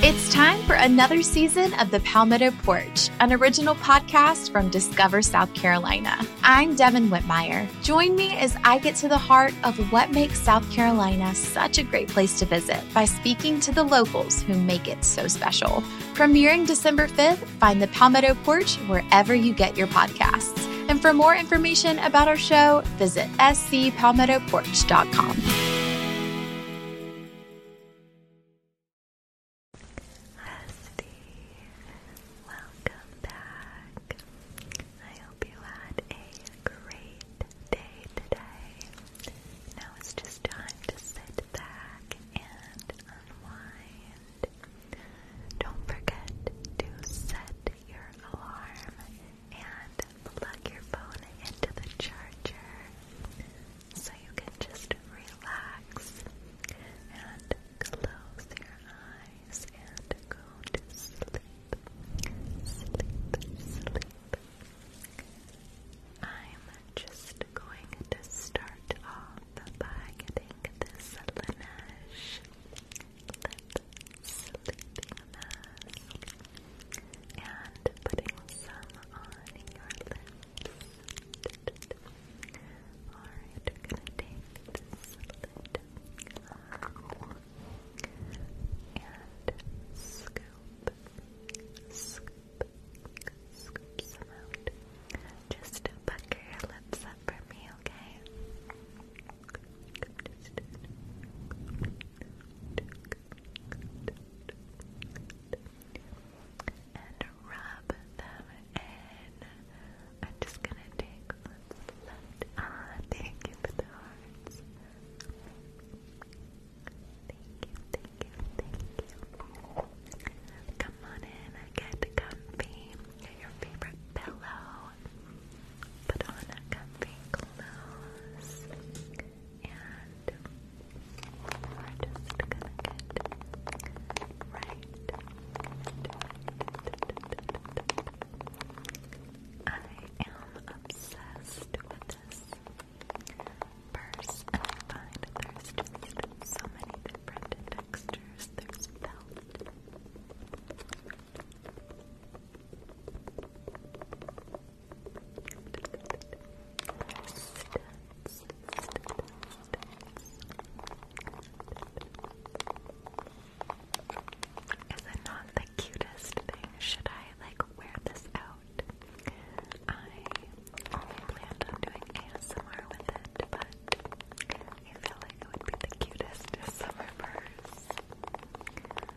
It's time for another season of The Palmetto Porch, an original podcast from Discover South Carolina. I'm Devin Whitmire. Join me as I get to the heart of what makes South Carolina such a great place to visit by speaking to the locals who make it so special. Premiering December 5th, find The Palmetto Porch wherever you get your podcasts. And for more information about our show, visit scpalmettoporch.com. Rusty, welcome back. I hope you had a great day today. Now it's just time to sit back and unwind. Don't forget to set your alarm and plug your phone into the charger so you can just relax and close your eyes and go to sleep. Sleep, sleep. I'm just going to start off by getting this Laneige lip this and putting some on your lips. Alright, gonna take this lid and scoop, scoop, scoop some out. Just pucker your lips up for me, okay? and rub them in. I'm just gonna take what's left. Ah, thank you for the hearts. Thank you, thank you, thank you. Come on in, get comfy. Get your favorite pillow. Put on a comfy clothes and we're just gonna get right I am obsessed with this purse I find there's just so many different textures. There's felt is it not the cutest thing? Should I like wear this out? I only planned on doing ASMR with it, but I feel like it would be the cutest summer purse.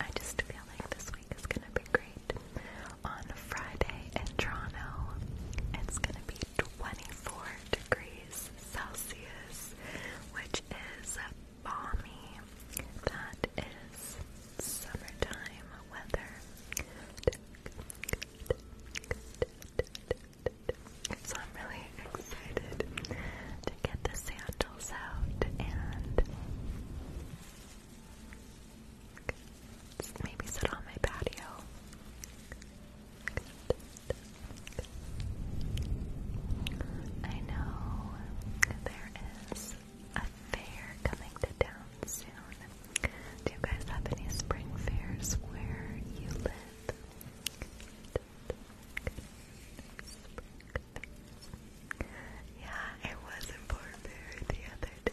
I just feel like this week is gonna be great. On Friday in Toronto, it's gonna be 24 degrees Celsius, which is balmy. That is summertime weather. So I'm really excited get the sandals out and maybe sit on my patio. I know there is a fair coming to town soon. Do you guys have any spring fairs where you live? Yeah, I was in Fort Bear the other day.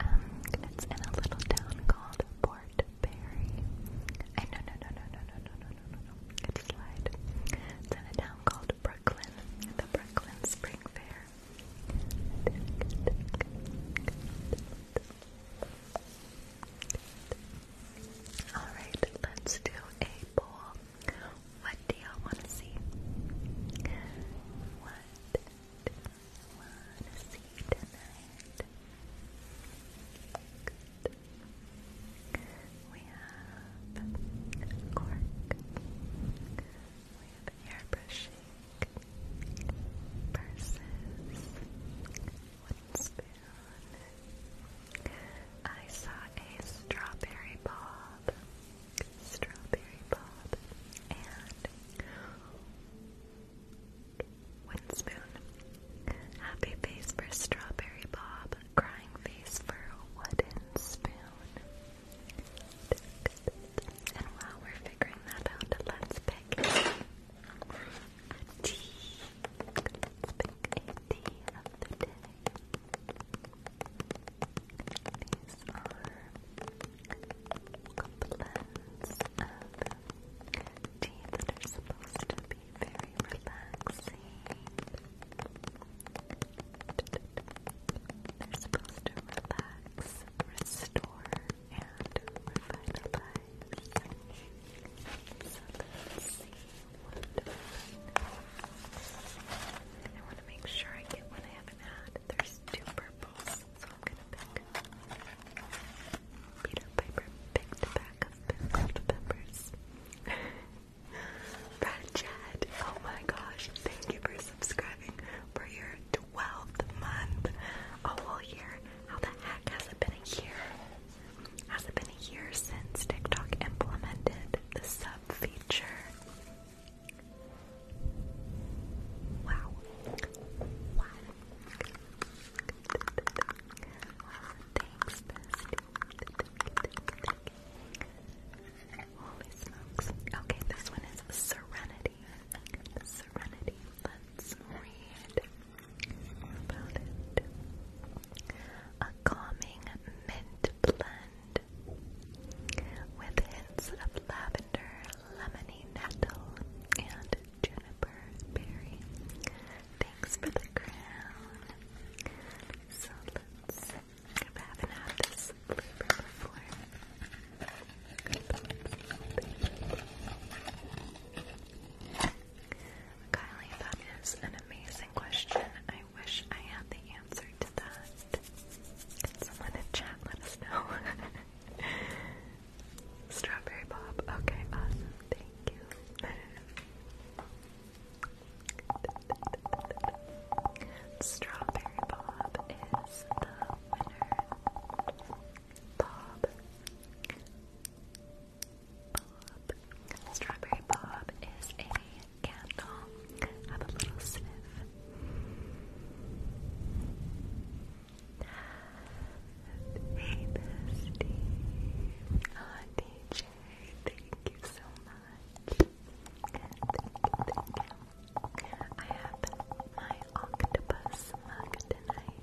um, it's in a little town called Port Perry. I no no no no no no no no no no. It's slide. It's in a town called Brooklyn, the Brooklyn Spring Fair. Alright, let's do a poll. What do y'all want to see? What do you want to see tonight? We have cork. We have airbrushing versus one spoon. I saw a strawberry bob, strawberry bob, and one spoon. Happy face for strawberry bob, crying face for wooden spoon. And while we're figuring that out, let's pick tea. Let's of the day. These are blends of tea that are supposed to be very relaxing. They're supposed to relax, restore, and we're finalized. So let's see what I want to make sure I get one I haven't There's two purples, so I'm gonna pick. Peter Piper picked a pack of pickled peppers. Brad Chad, oh my gosh, thank you for subscribing for your 12th month. A whole year. How the heck has it been a year? Has it been a year since TikTok implemented the sub feature? Wow. Wow. Okay, this one is Serenity. Serenity. Let's read about it. A calming mint blend with hints of lavender, lemony nettle, and juniper berry. Thanks for the crown. So let's. haven't flavor before, Kylie, that is an amazing question. I wish I had the answer to that. someone in chat let us know? Strawberry Bob. Okay, awesome. Thank you. Strawberry Bob is the winner. Bob. Bob. Strawberry Bob is a candle. Have a little sniff. Hey, bestie. DJ. Thank you so much. I have my octopus mug tonight.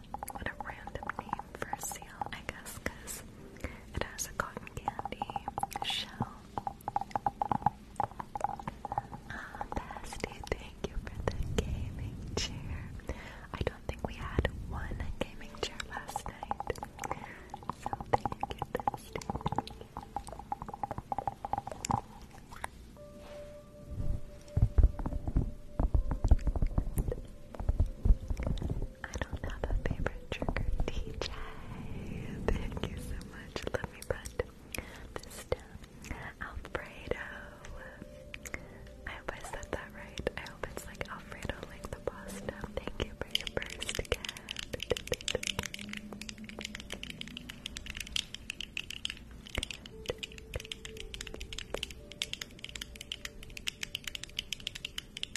what a random name for a seal, I guess, because it has a cotton candy shell. Ah, Bestie, thank you for the gaming chair. I don't think we had one gaming chair last night. So thank you, Bestie. I don't have a favorite trigger, DJ. Thank you so much. Let me put this down. Alfredo. I hope I said that right. I hope it's like Alfredo, like the pasta. Thank you for your first gift.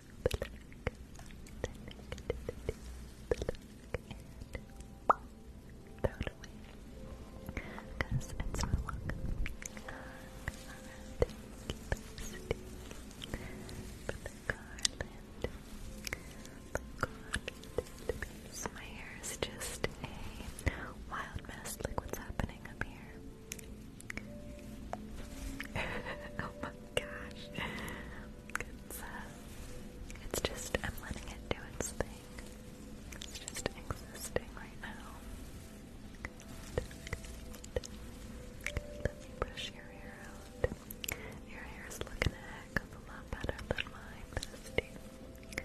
black, the throw it away. Because it's no longer so my hair is just a wild mess, like what's happening up here gosh. Uh, it's, just, I'm letting it do its thing. It's just existing right now. Let me brush your hair out. Your hair is looking a lot better than mine, Dusty. Good.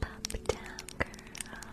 Pop down, girl.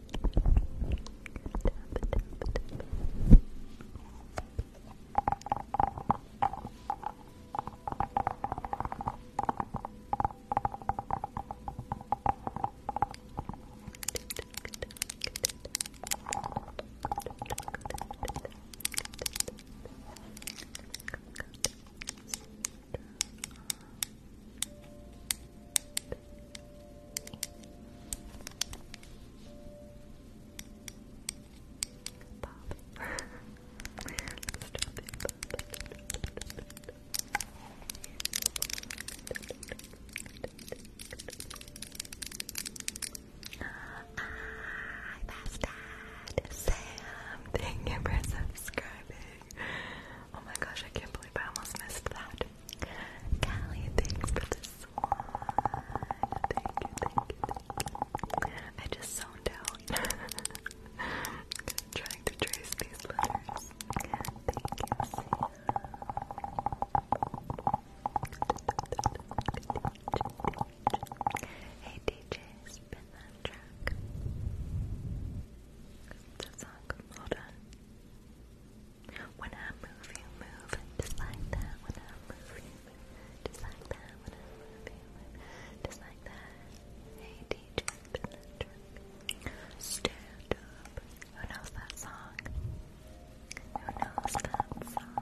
Center. Bob. Let's drop Thank you for subscribing. Oh my gosh, I can't believe I almost missed that. Callie, thanks for the swan. Thank you, I just zoned out. i trying to trace these letters. Hey DJ, spin that track. That's song. Hold on. When I move, you move, just like that. When I move, you move, just like that. When I move, you move, just like that. Hey, DJ, stand up. Who knows that song? Who knows that song?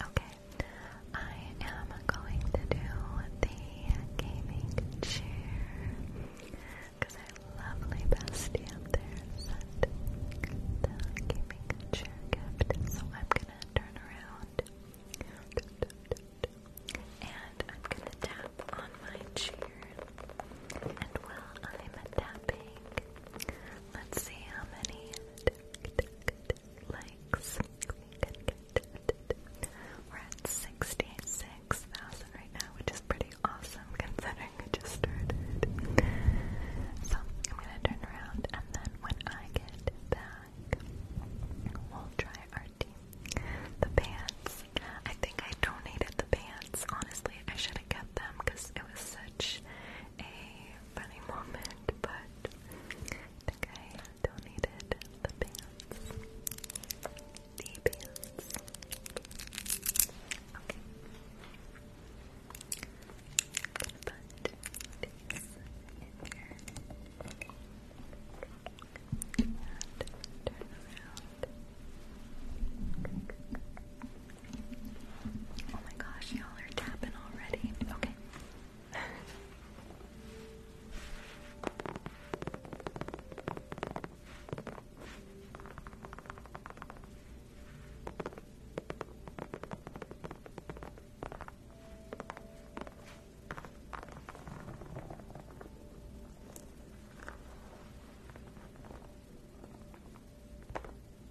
Okay, I am going to do the gaming chair because our lovely bestie up there sent the gaming chair gift, so I'm gonna turn around and I'm gonna tap on my chair, and while I'm tapping. Let's see how many likes we are at 66,000 right now, which is pretty awesome considering it just started. So I'm gonna turn around and then when I get back, we'll try our team. The pants. I think I donated the pants. Honestly, I should have them because it was such a funny moment, but the donated the pants. The pants. Okay. put this in here. And turn around. Oh my gosh, y'all are tapping already. Okay.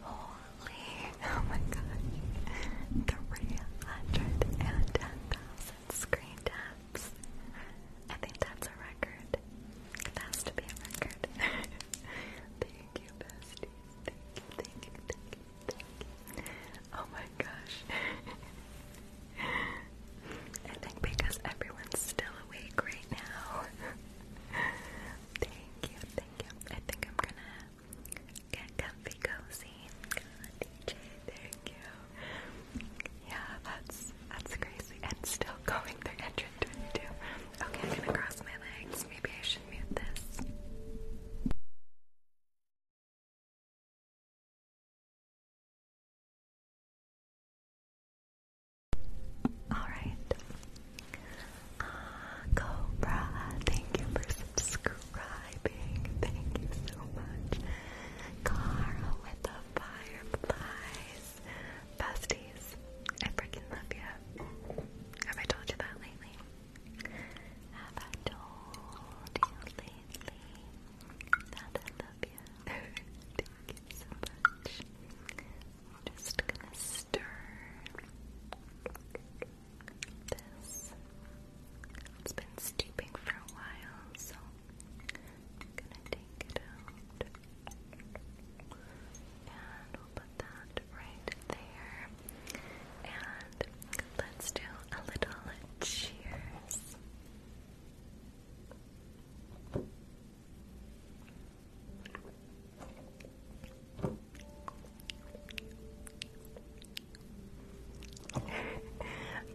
Holy, oh my gosh, 310,000 screen taps. I think that's a record. It has to be a record. thank you, besties. Thank you, thank you, thank you, Oh my gosh. I think because everyone's still awake right now. thank you, thank you. I think I'm gonna get comfy cozy. DJ, thank you. Yeah, that's that's crazy. And still going through 122. Okay, I'm gonna cross my legs. Maybe I should mute this. Alright. Ah, Cobra, thank you for subscribing. Thank you so much. Carl with the fireflies. Besties, I freaking love you. Have I told you that lately? Have I told you lately that I love you? I'm just gonna stir this. It's been steeping for a while, so gonna take it out. And we'll put that right there. And let's do a little Cheers.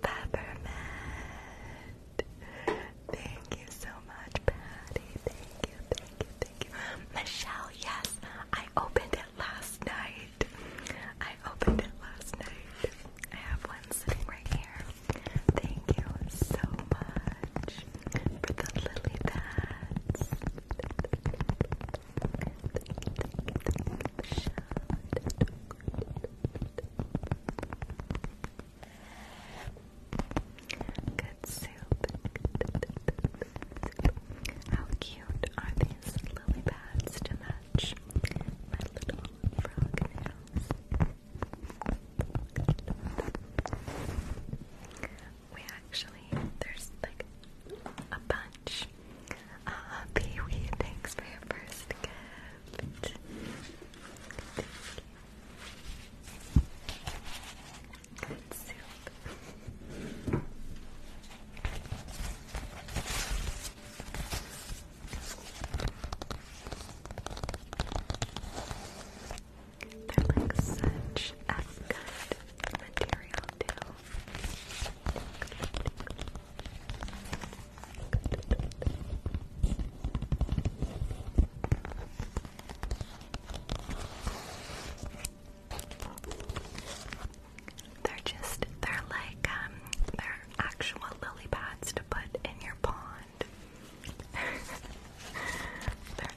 Peppermint. Thank you so much, Patty. Thank you, thank you, thank you. Michelle, yes, I opened it last night. I opened it last night. I have one sitting right here. Thank you so much for the lily pads. Good soup. How cute are these lily pads to match my little frog nails? We actually, there's like a bunch. Uh, Pee Wee, thanks for your first gift. They're like such a good material too. They're just they're like um they're actual lily pads to put in your pond. They're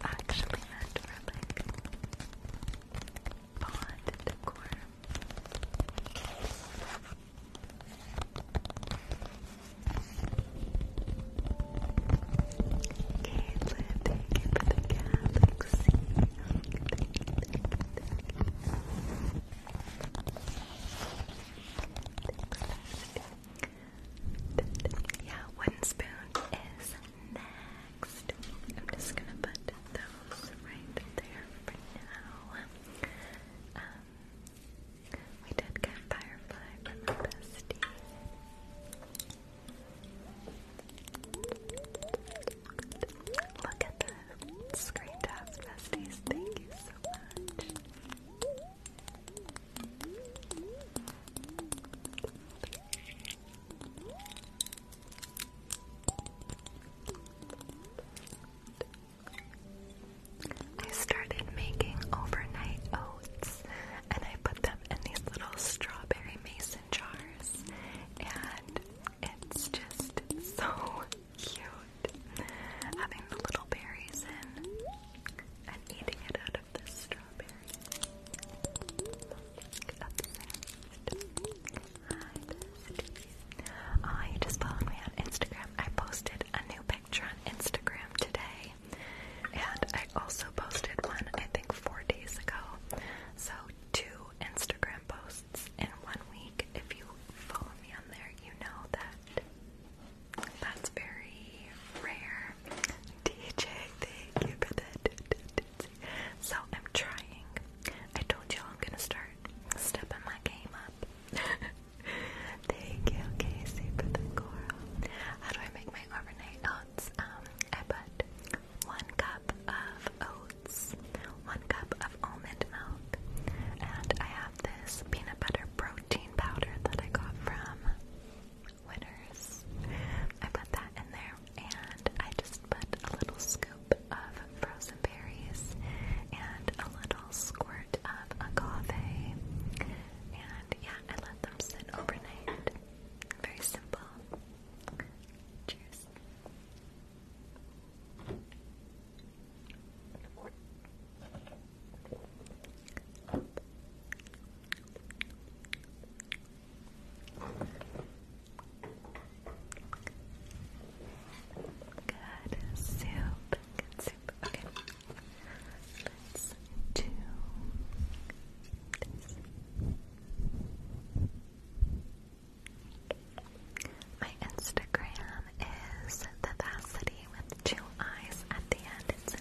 actually meant for like bond decor. Caitlin, thank you for the galaxy. Yeah, wooden spoon is next. I'm just gonna put those right there for now. Um, we did get Firefly from our bestie. Look at the screen tabs, besties. Thank you so much. I started making overnight oats and I put them in these little strawberry mason jars and it's just so cute having the little berries in and eating it out of the straw. Oh, you just followed me on Instagram. I posted a new picture on Instagram today. And I also posted one, I think, four days ago. So, two Instagram posts in one week. If you follow me on there, you know that that's very rare. DJ, thank you for that. So I'm trying. I told y'all I'm gonna start stepping my game up. thank you, Casey, for the coral. How do I make my overnight oats? Um, I put one cup of oats, one cup of almond milk, and I have this peanut butter protein powder that I got from winners. I put that in there and I just put a little scoop of frozen berries and a little squirt of agave. And yeah, I let them sit overnight. Very simple. Cheers. Good soup. Good soup. Okay. Let's do this. My Instagram is the with two eyes at the end.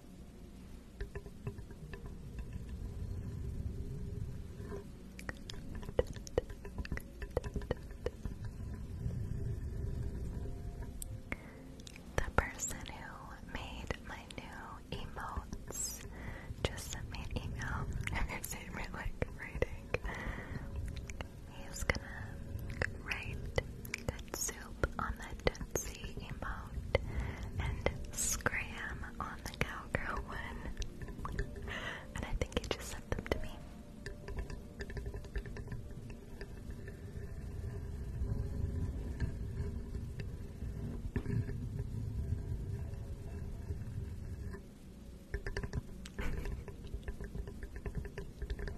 The person who made my new emotes just sent me an email and sent me like writing. He's gonna write Good soup on the Tootsie emote and Scram on the Cowgirl one. And I think you just sent them to me.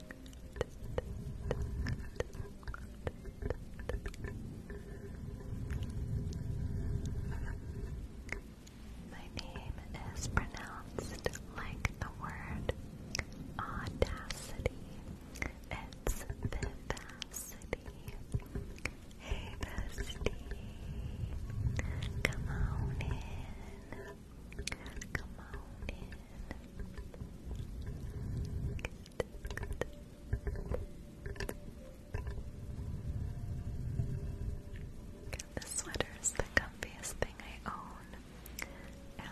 My name is pronounced like the word audacity. It's vivacity. Hey bestie, come on in. This sweater is the comfiest thing I own, and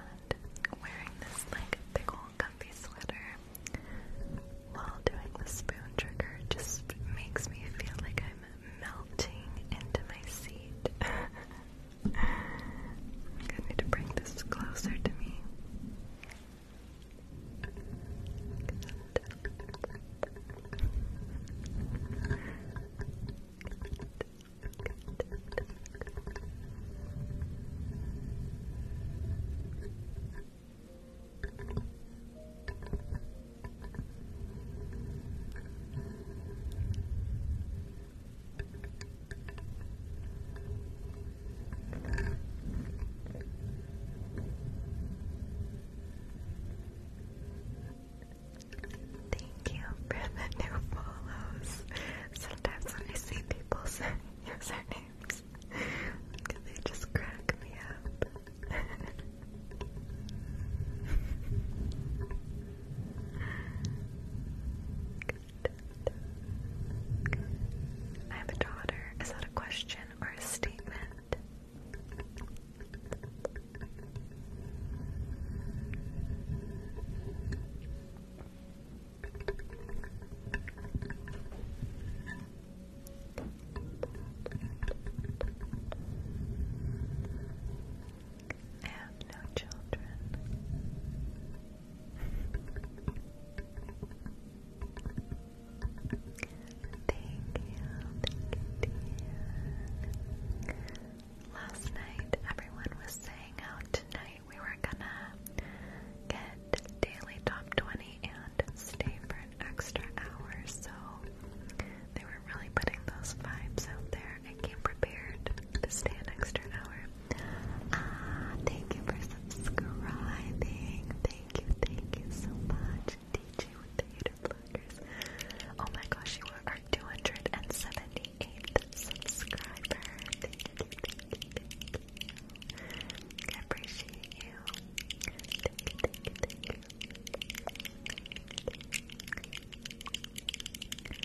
wearing this like big old comfy sweater while doing the spoon trigger just makes me feel like I'm melting into my seat. I am gonna need to bring this closer to me. Thank you for the new follows. Sometimes when I see people say usernames, they just crack me up. I have a daughter. Is that a question or a statement? I have no children. thank you, thank you, Last night, everyone was saying how tonight we were gonna get daily top 20 and stay for an extra hour, so they were really putting those vibes out there. I came prepared to stay an extra hour. Ah, thank you for subscribing. Thank you, thank you so much. DJ with the Hater Oh my gosh, you are our 278th subscriber. I appreciate you. Thank you, thank you, thank you.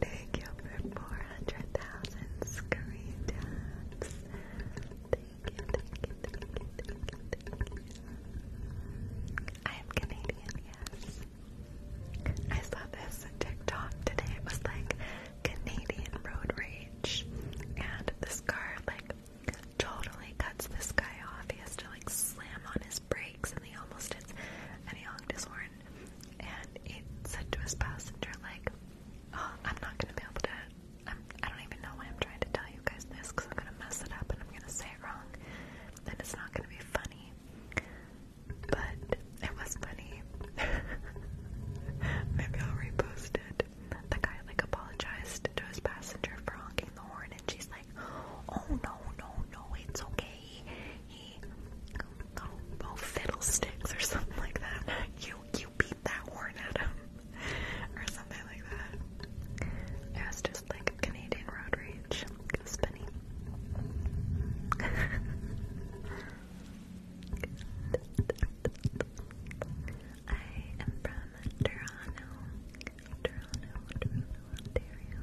Thank you for 400,000 screen I am Canadian, yes. I saw this TikTok today. It was like Canadian road rage. And this car, like, totally cuts this guy off. He has to, like, slam on his brakes and he almost hits. And he honks his horn and it said to his passenger, like, oh, I'm not gonna be able to, I'm, I do not even know why I'm trying to tell you guys this, because I'm gonna mess it up and I'm gonna say it wrong, and it's not gonna be funny, but it was funny. Maybe I'll repost it. The guy, like, apologized to his passenger for honking the horn, and she's like, oh, no, no, no, it's okay he, he, oh, fiddlesticks or something like that. You, you beat that horn at him, or something like that. It was just like Canadian road rage, spinny. I am from Toronto, Toronto, Ontario.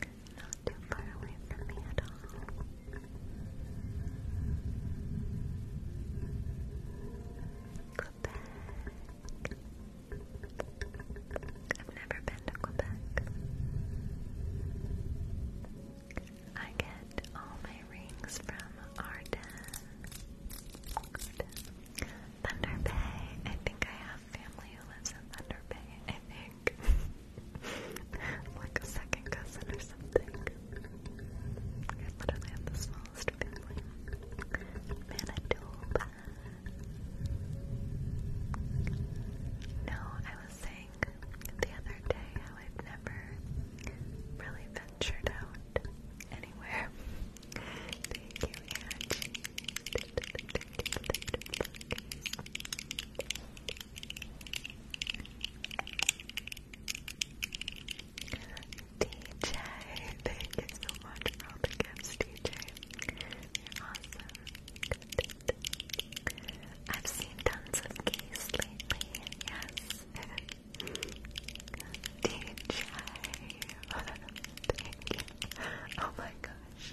Not too far away from me at all. Quebec. I've never been to Quebec. I get all my rings from Arden. Thunder Bay. I think I have family who lives in Thunder Bay. like a second cousin or something. I literally have the smallest family. Manitoba. No, I was saying the other day I've never really ventured out anywhere. Thank you, DJ, thank you so much for all the gifts, DJ. awesome. I've seen tons of keys lately, yes. DJ, Oh my gosh.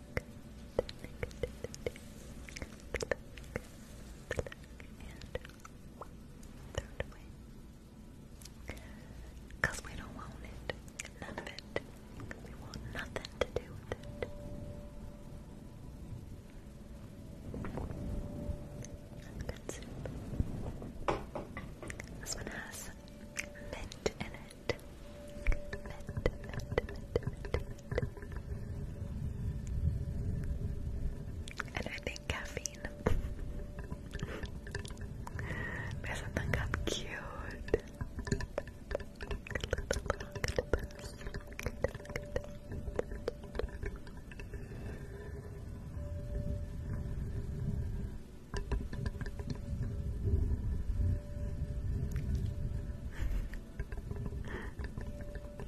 throw it Because we don't want it. None of it. We want nothing to do with it. This one has mint in it. And I think caffeine. There's something i cute.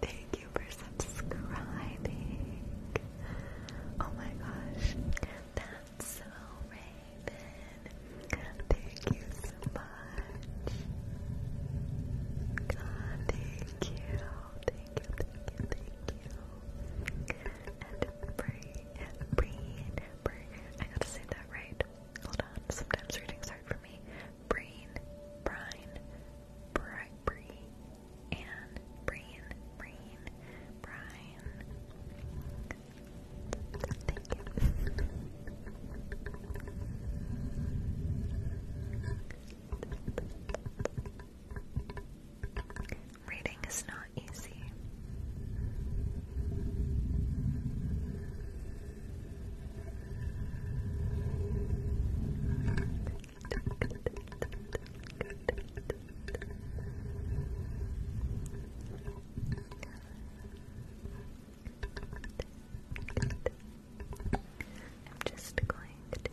Thank you for subscribing. Oh my gosh, that's so Raven. Thank you so much. God, thank you, thank you, thank you, thank you. And Bree, Breen, Breen. I got to say that right. Hold on. Sometimes readings hard for me. Breen, Brine, Brian, Brian, Brian. Thank you. Reading is not easy. I'm just going to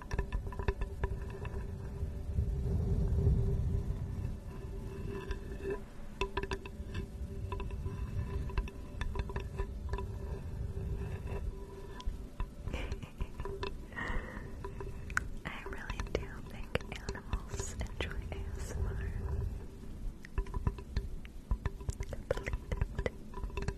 I really do think animals enjoy ASMR. Complete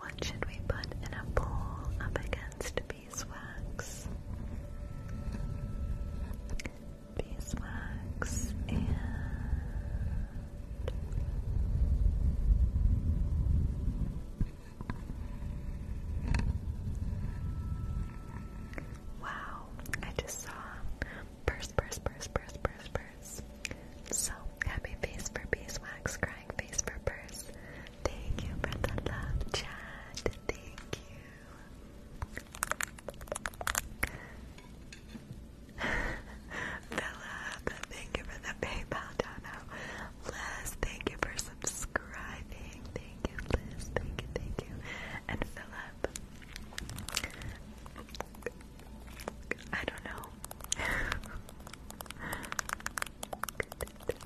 What should we put in a bowl up against B? beeswax, beeswax, and wow, I just saw purse, purse, purse, purse, purse, purse. So happy face for beeswax, crying face for purse. Thank you for the love, Chad. Thank you. Philip, thank you for the PayPal dono. Liz, thank you for subscribing. Thank you, Liz. Thank you, thank you. And Philip, I don't know. but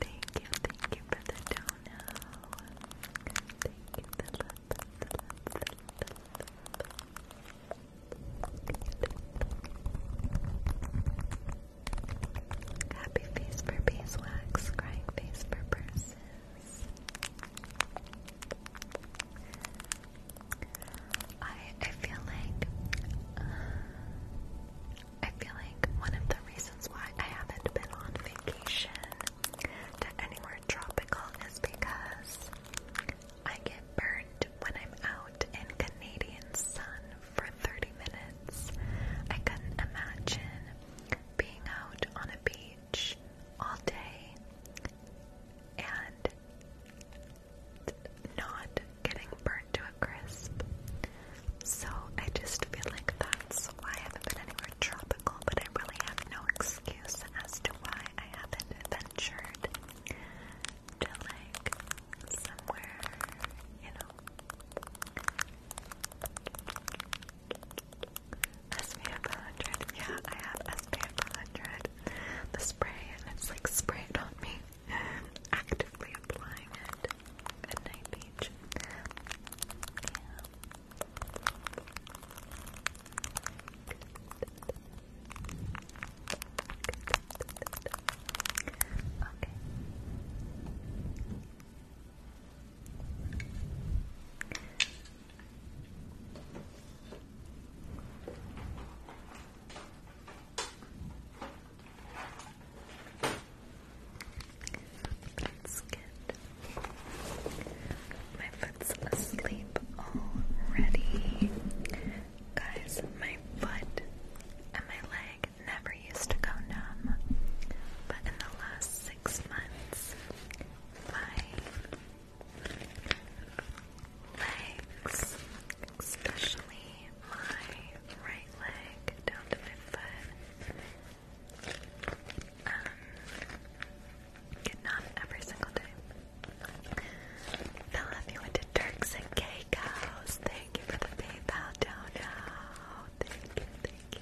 thank you, thank you for the dono. Thank you, Happy face for beeswax, crying face for purses. I I feel like uh, I feel like one of the reasons why I haven't been on vacation to anywhere tropical is because I get burned when I'm out in Canadian sun for 30 minutes. I couldn't imagine being out on a beach all day and not getting burned to a crisp. So I just feel like that's why I haven't been anywhere tropical, but I really have no excuse as to why I haven't ventured to like somewhere, you know. SPF 100, yeah, I have SPF 100, the spray, and it's like sprayed on me, actively applying it at night age. Yeah. Okay. That's good. My foot's asleep already. Guys, my foot and my leg never used to go numb. But in the last six months, my legs, especially my right leg down to my foot, um, good every single day. Fella, if you went Turks and Caicos, thank you for the PayPal dono. thank you, thank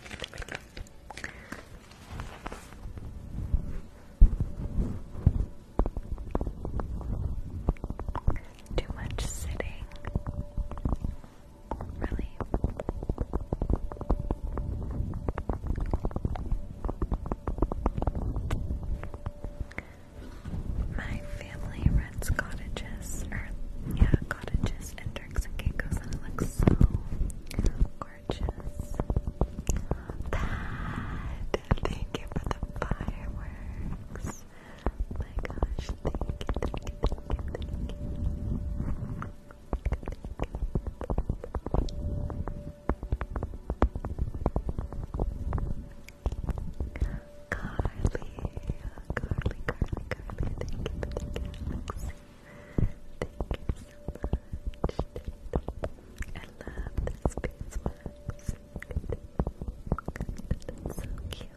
you. Too much sitting really. My family rents cottages, yeah, cottages and Turks and Caicos, it looks so gorgeous. thank you for the fireworks. My gosh, thank you. Carly, Carly, Carly, Carly, thank you for the so much. I love this piece, Max. That's so cute.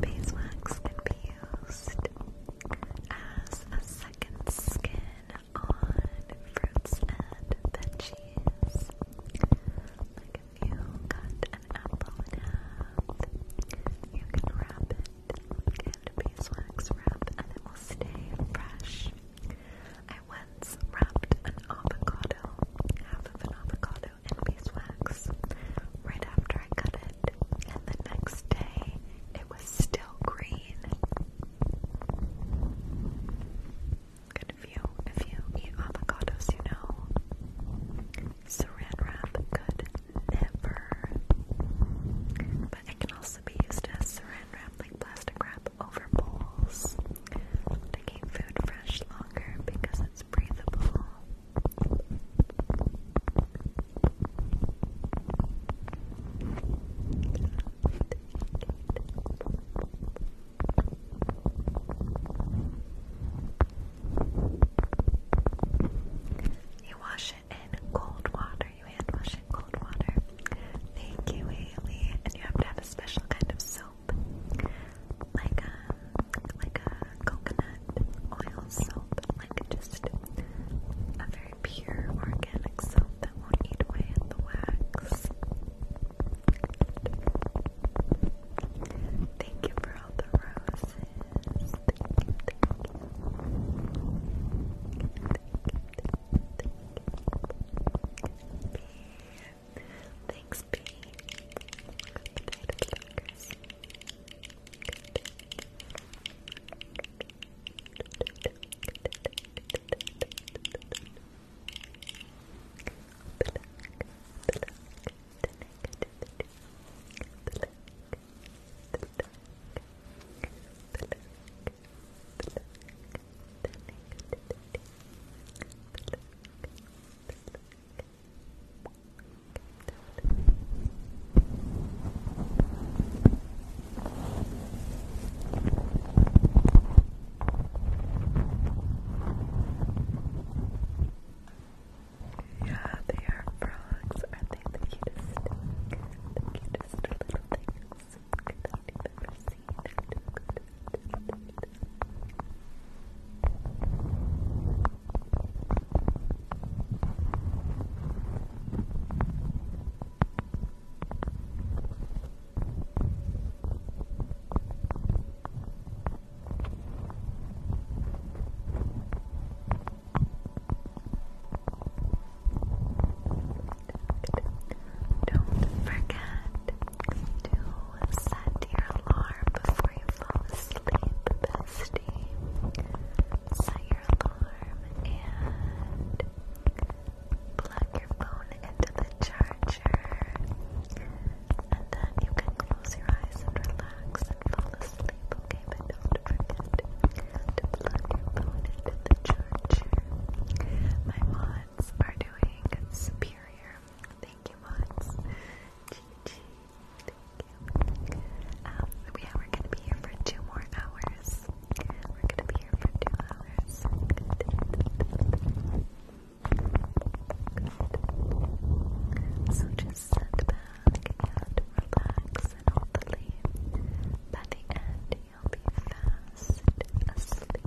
Beeswax can be used as a second skin on fruits and veggies. Like if you cut an apple in half, you can wrap it in beeswax wrap and it will stay fresh. I once wrapped an avocado, half of an avocado, shampoo beeswax right after I cut it, and the next day it was still green. Good if you, if you eat avocados, you know saran wrap could never. But it can also be used as saran wrap, like plastic wrap, over bowls to keep food fresh longer because you wash it in cold water, you hand wash it in cold water. Thank you, Haley. And you have to have a special kind of soap like a like a coconut oil soap, like just a very pure organic soap that won't eat away at the wax. Thank you for all the roses. Thanks, B. Yeah, they are frogs. are they the cutest? The cutest little things that I've ever seen. Don't forget to set your alarm before you fall asleep, Set your alarm and plug your phone into the charger. And then you can close your eyes and relax and fall asleep, okay? But don't forget to plug your phone into the charger. My mods are doing superior. Thank you, mods thank you. Um, we're gonna be here for two more hours. We're gonna be here for two hours. So just sit back relax, and hopefully by the end you'll be fast asleep.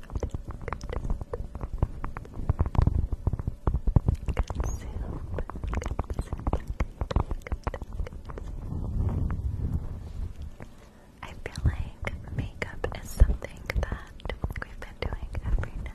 I feel like makeup is something that we've been doing every night.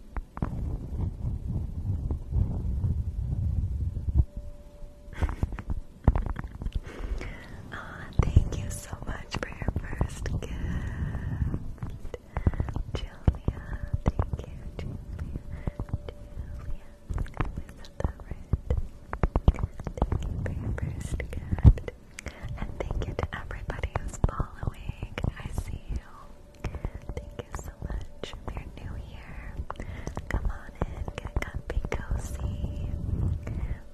thank you so much for your first gift. Julia, thank you, Julia. Thank you for your first gift. And thank you to everybody who's following. I see you. Thank you so much. If you're new here, come on in, get comfy, cozy.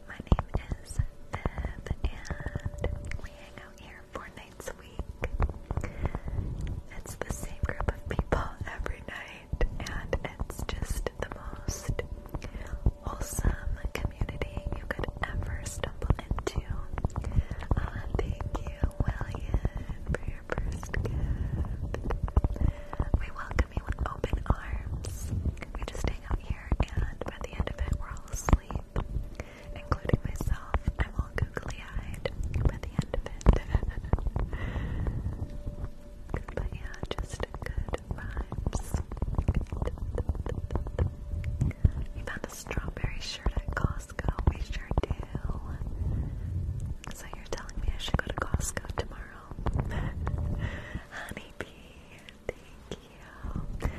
My name is Bev, and we hang out here four nights a week. It's the same group of people every night, and it's just the most wholesome community you could ever stumble into. Uh, thank you you, William, for your first gift. We welcome you with open arms. We just hang out here, and by the end of it, we're all asleep, including myself. I'm all googly eyed by the end of it. But yeah, just good vibes. You found a strawberry shirt at Costco. We sure do. So you're telling me I should go to Costco tomorrow? Honeybee, thank you.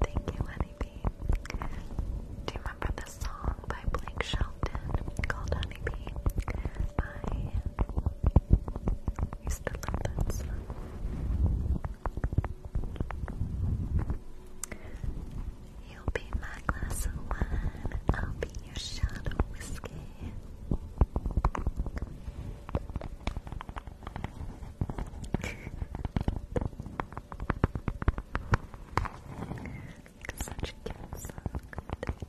Thank you, Honeybee. Do you remember the song by Blake Shelton called Honeybee? I used to love that song. You'll be my glass of wine, I'll be your shot of whiskey. Such a cute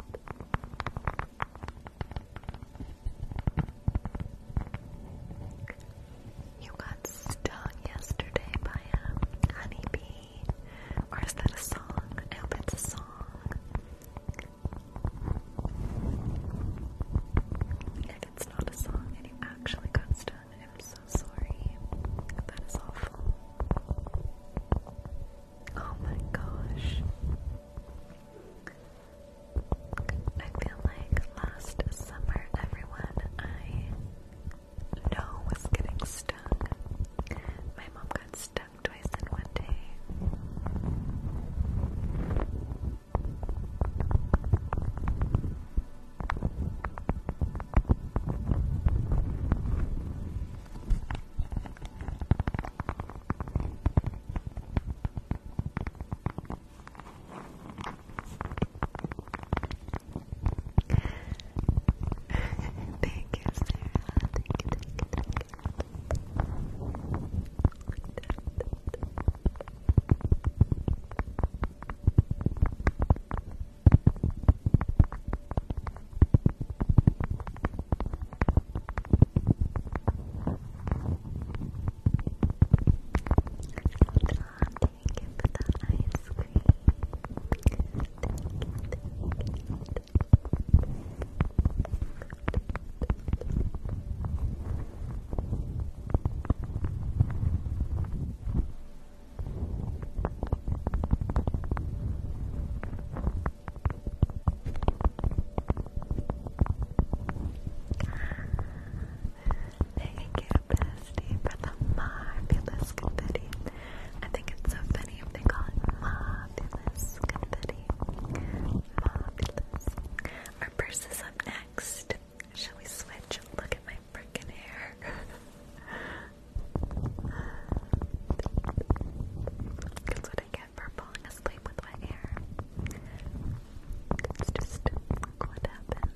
You got stung yesterday by a honeybee. Or is that a song? I hope it's a song. If it's not a song and you actually got stung, I'm so sorry. That is awful. Oh my gosh. I feel like last summer, everyone I no was getting stuck. My mom got stung twice in one day thank you, Sarah. Thank you, thank you, thank you. Thank you for the ice Thank you, Bella. Christy for the marvelous confetti. I think it's so funny if they call it marvelous confetti. Marvelous. My purse is up next. Shall we switch? Look at my freaking hair. That's what I get for falling asleep with my hair. It's just what happens.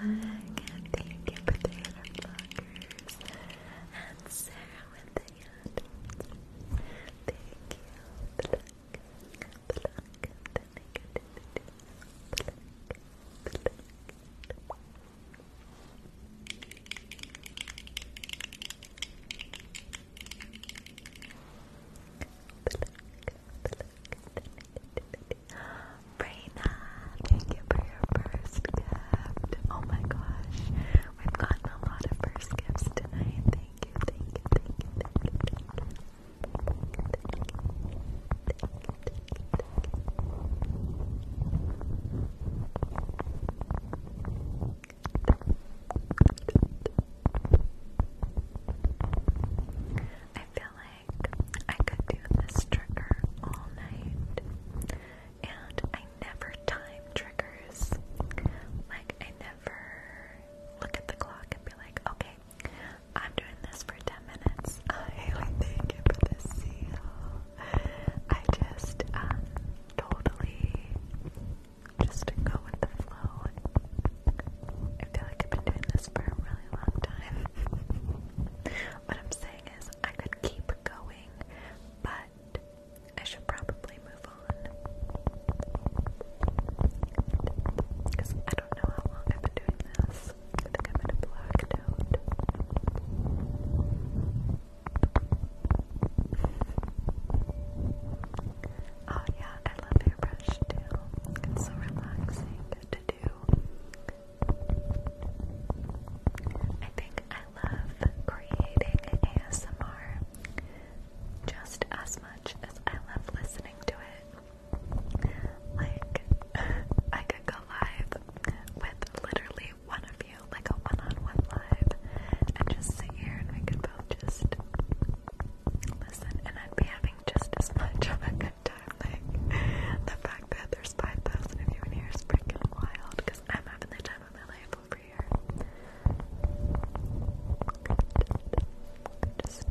Alright, thank you for the blockers and Sarah with the Thank you. Pluck, pluck, the negativity. Raina, thank you for your first gift. Oh my gosh, we've gotten a lot of first gifts tonight. thank you, thank you, thank you, thank you. I feel like I could do this trigger all night, and I never time triggers. Like, I never look at the clock and be like, okay, I'm doing this for 10 minutes. I Haley, thank you for the seal. I just um totally just go with the flow. I feel like I've been doing this for a really long time. what I'm saying is I could keep going, but I should probably move on. Because I don't know how long I've been doing this. I Oh yeah, I love hairbrush too. It's so relaxing to do. I think I love creating ASMR just as much as I love listening to it. Like, I could go live with literally one of you, like a one-on-one live, and just sit here and we could both just listen, and I'd be having just as much of a good time. Like, the fact that there's 5,000 of you in here is freaking wild, because I'm having the time of my life over here. Just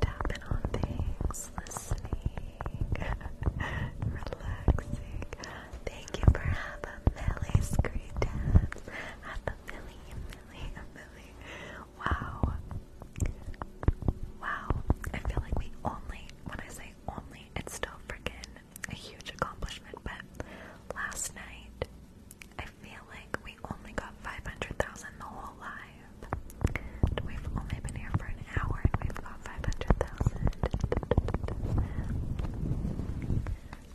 tapping on things, listening, relaxing. Thank you for half a million screen tabs. Half a million, million, million. Wow. Wow. I feel like we only, when I say only, it's still freaking a huge accomplishment, but last night, I feel like we only got 500,000 the whole live live. we've only been here for an hour and we've got 500,000.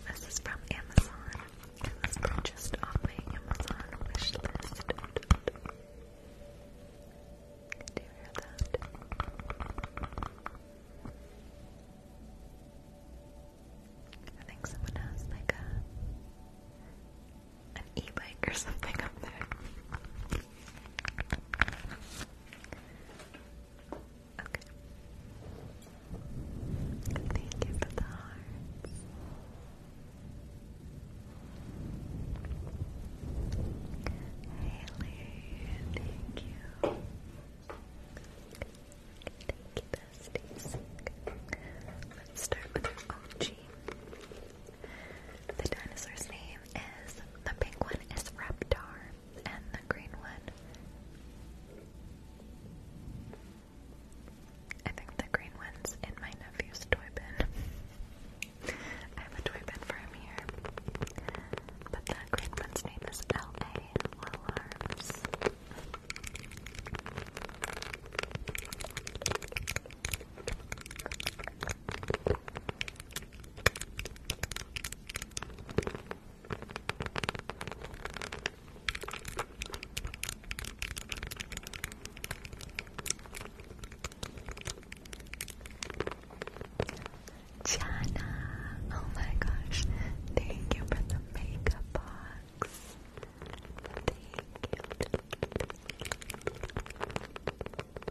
This is from Amazon. It was purchased off my Amazon wish Do you hear that? I think someone has like a an e-bike or something up there. Okay. Thank you for the hearts. Haley, thank you. Thank you, besties. Let's start with your the dinosaur's name is the pink one is Reptar and the green one. I think the green one's in my nephew's toy bin. I have a toy bin for him here. But the green one's name is L.A. Alarms. Jana, oh my gosh, thank you for the makeup box. Thank you.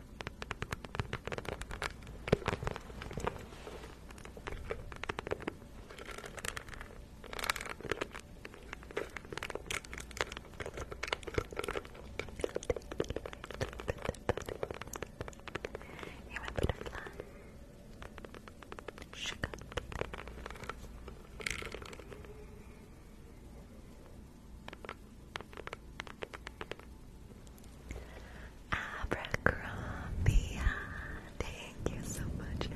You're my butterfly. Sugar. Abercrombie. Thank you so much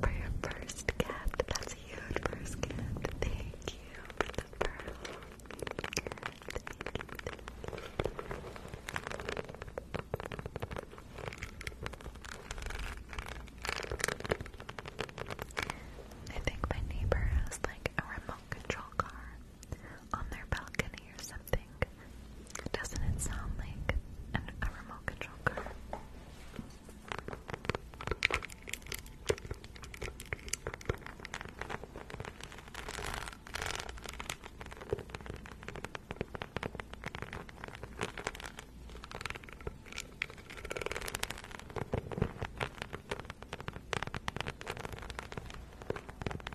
for your first gift. That's a huge first gift. Thank you for the pearl. I think my neighbor has like a remote control car on their balcony or something. Doesn't it sound like an, a remote control car?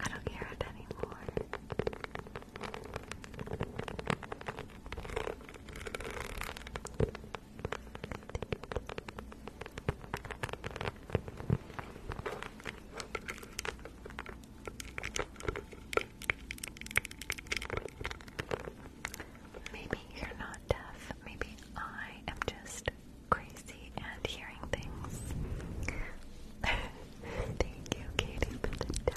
I don't care anymore. Maybe you're not deaf. Maybe I am just crazy and hearing things. Thank you, Katie, for the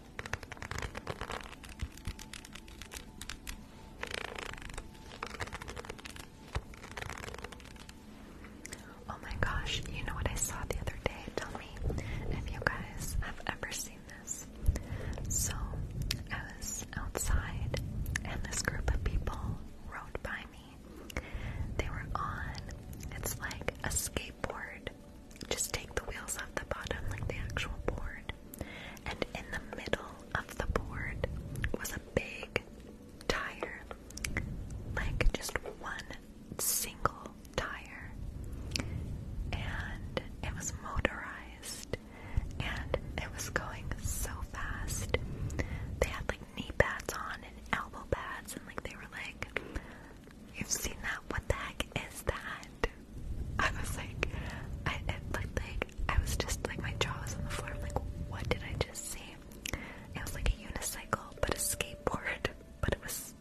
Oh my gosh, you know what I saw the other day? Tell me if you guys ever seen this. So, I was outside and this group of people rode by me. They were on, it's like a skateboard just take the wheels off the bottom, like the actual board. And in the middle of the board was a big tire, like just one single tire. And it was motorized, and it was going so fast. They had like knee pads on and elbow pads, and like they were like, You've seen that? What the heck is that? I was like, I like I was just like my jaw was on the floor. I'm like, what did I just see? It was like a unicycle, but a skateboard, but it was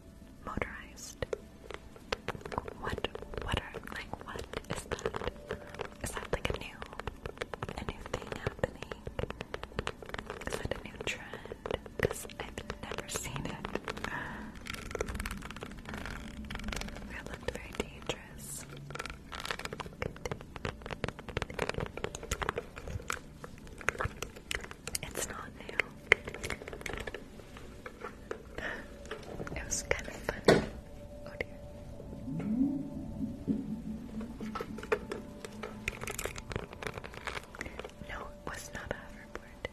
motorized. What? What like? What is that? Is that like a new, a new thing happening? Is that a new trend? Because I've never seen it. That looked very dangerous. It's not new. It was kind of funny. Oh, no, it was not a hoverboard.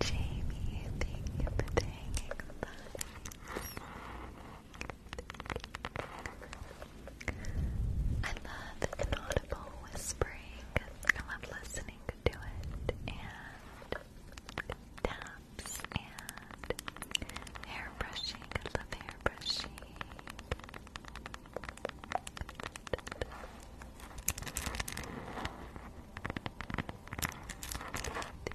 Jamie, thank you for I love inaudible whispering. I love listening to it. And taps and hair brushing. I love hair brushing.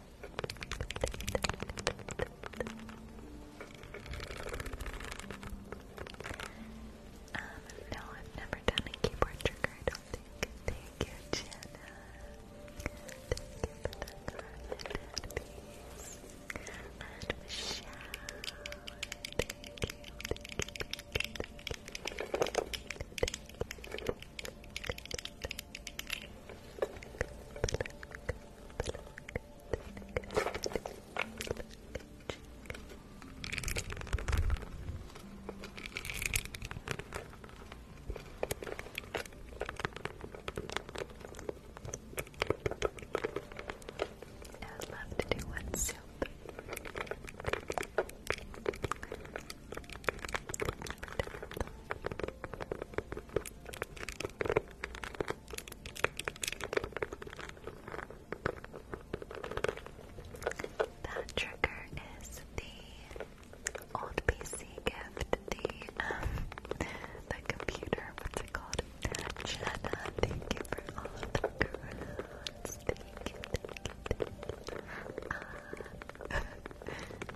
Um, no, I've never done a keyboard trigger, I don't think. Thank you, Jenna. Thank you for the Thank you. I'd love to do one soup. That trigger is the old PC gift, the um, the computer, what's it called? Jenna, thank you for all of the crows. Thank uh,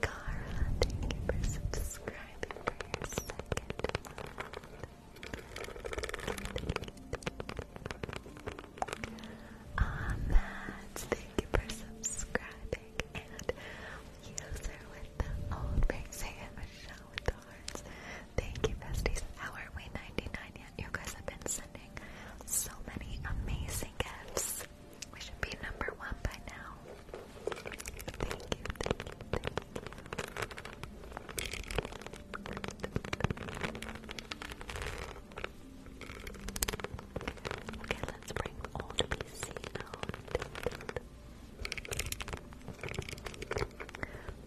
Cara, thank you for subscribing for your second Ah, Matt, thank you for subscribing. And user with the old rings, hey, Michelle with the Thank you, besties. How are we 99 yet? You guys have been sending so many amazing gifts. We should be number one by now. Thank you, Okay, let's bring old PC out. 4.3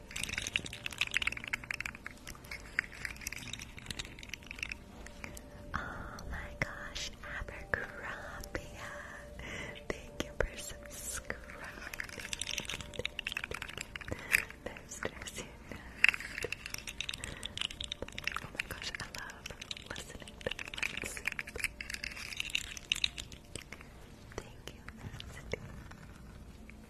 Oh my gosh, Abercrombie. Thank you for subscribing. That's dressy Oh my gosh, I love listening to let Thank you, Nasty.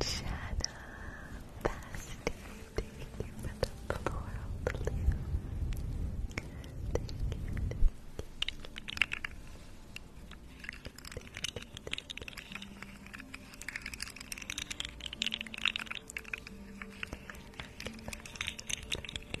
Jana Basti, thank you for the floral blue. Thank thank you. Thank you, thank you.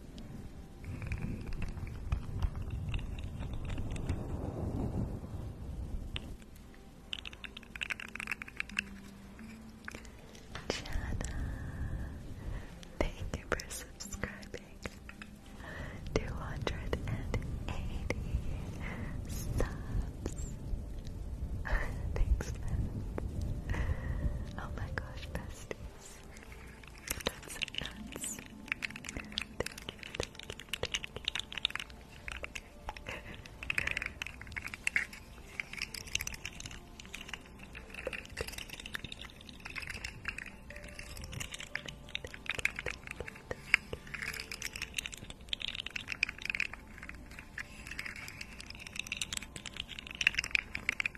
Jana, thank you for subscribing. Two hundred and eighty subs. Thanks, Oh my gosh, bestie nuts. Nuts and nuts. Thank you, thank you, thank you.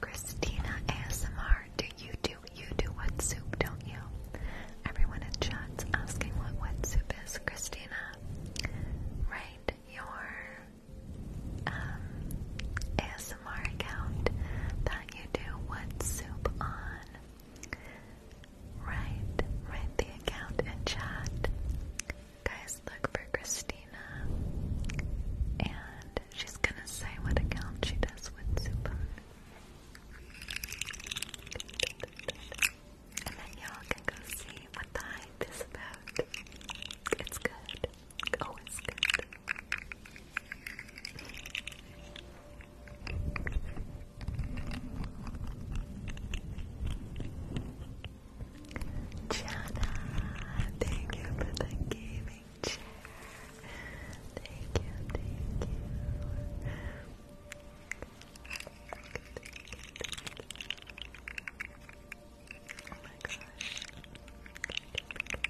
Christina ASMR, do you do you do wet soup, don't you? Everyone in chat's asking what wet soup is, Christina. Right, your um, ASMR account that you do what soup on. Write, write the account in chat. Guys, look for Christina, and she's gonna say what account she does with soup on. And then y'all can go see what the hype about. It's good. Oh, it's good. thank you for the gaming chair. Thank you, thank you. Oh my gosh.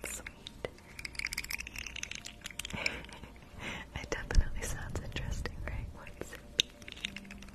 Sweet. it definitely sounds interesting, right? What's Thank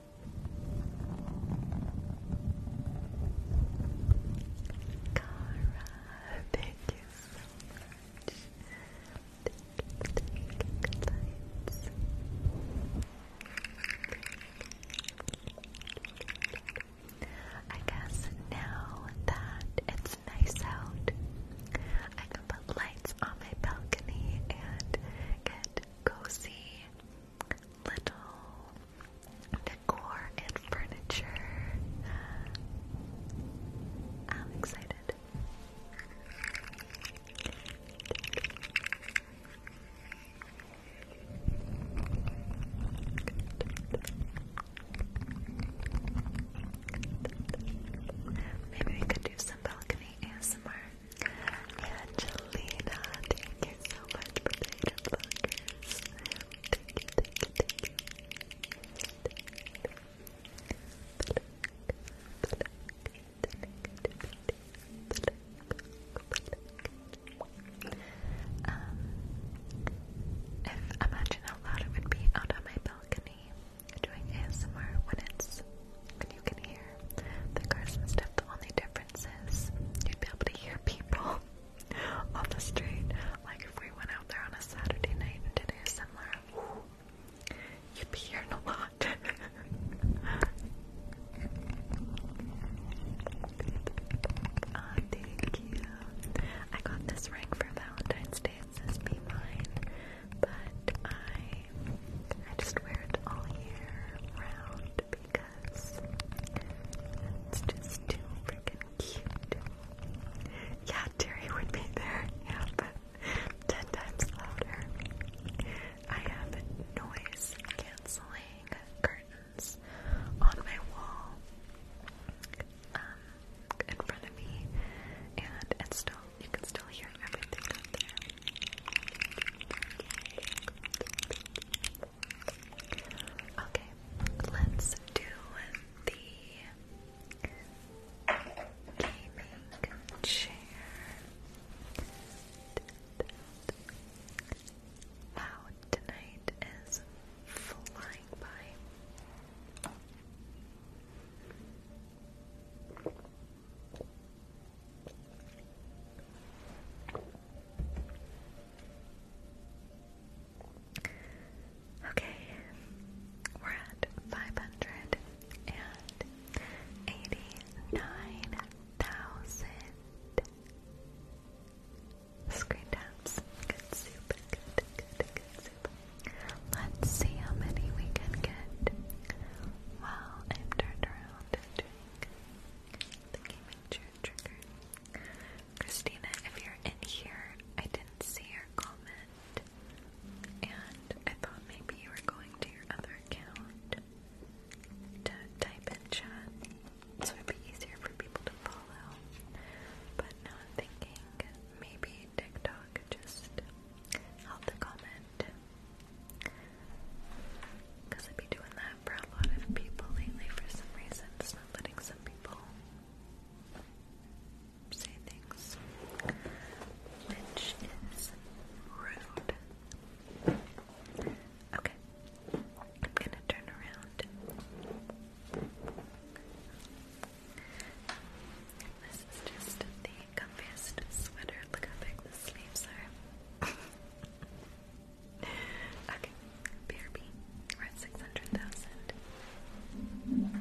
Cara, thank you so much. I guess now that it's nice out, I can put lights on my balcony and get cozy little decor and furniture. I'm excited. Maybe we could do some balcony ASMR. Angelina, thank you Thank you, if imagine how loud it would be out on my balcony doing ASMR when it's when you can hear the cars The only difference You'd be able to hear people on the street. Like if we went out there on a Saturday night and did ASMR, similar, you'd be hearing a lot. Ah, thank you. I got this ring for Valentine's Day. be mine, but I I just wear it all year round because it's just too freaking cute. Yeah, Terry would be there, yeah, but ten times louder. I have noise canceling curtains on my wall um, in front of me, and still you can still hear everything Okay, let's do the gaming chair. Wow, tonight is flying by. Okay, we're at five hundred and eighty-nine thousand screen taps. Good soup. Good, soup. Let's see how many we can get. Well, I've turned around doing the gaming trigger. Christina, if you're in here, I didn't see your comment, and I thought maybe you were going to your other account to type in chat, so it'd be easier for people to follow. But now I'm thinking maybe TikTok just held the comment. Because I've been doing that for a lot of people lately for some reason. not letting some people say things. Which is rude. Okay. I'm gonna turn around. This is just the comfiest sweater. Look how big the sleeves are. Okay, BRB. We're at 600,000. Okay,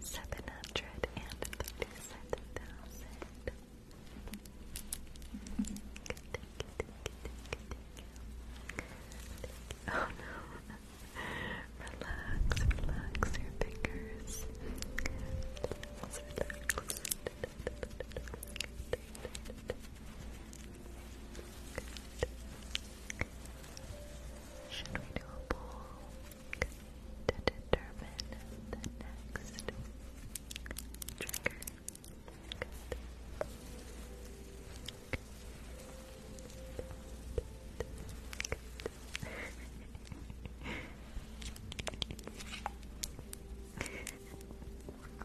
Seven hundred and thirty-seven thousand. Oh no! Relax, relax your fingers. Should we do a poll to determine the next trigger?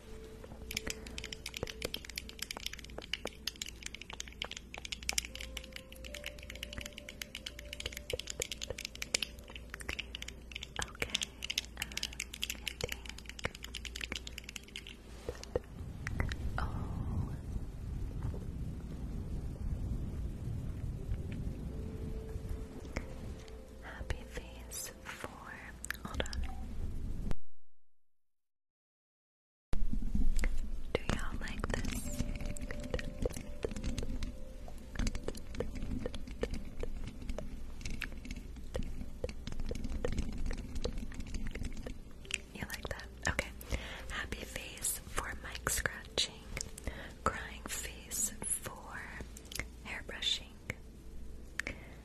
think, oh. Happy face four. Hold on. Do y'all like this? You like that? Okay. Happy face for mic scratching. Crying face for hair brushing.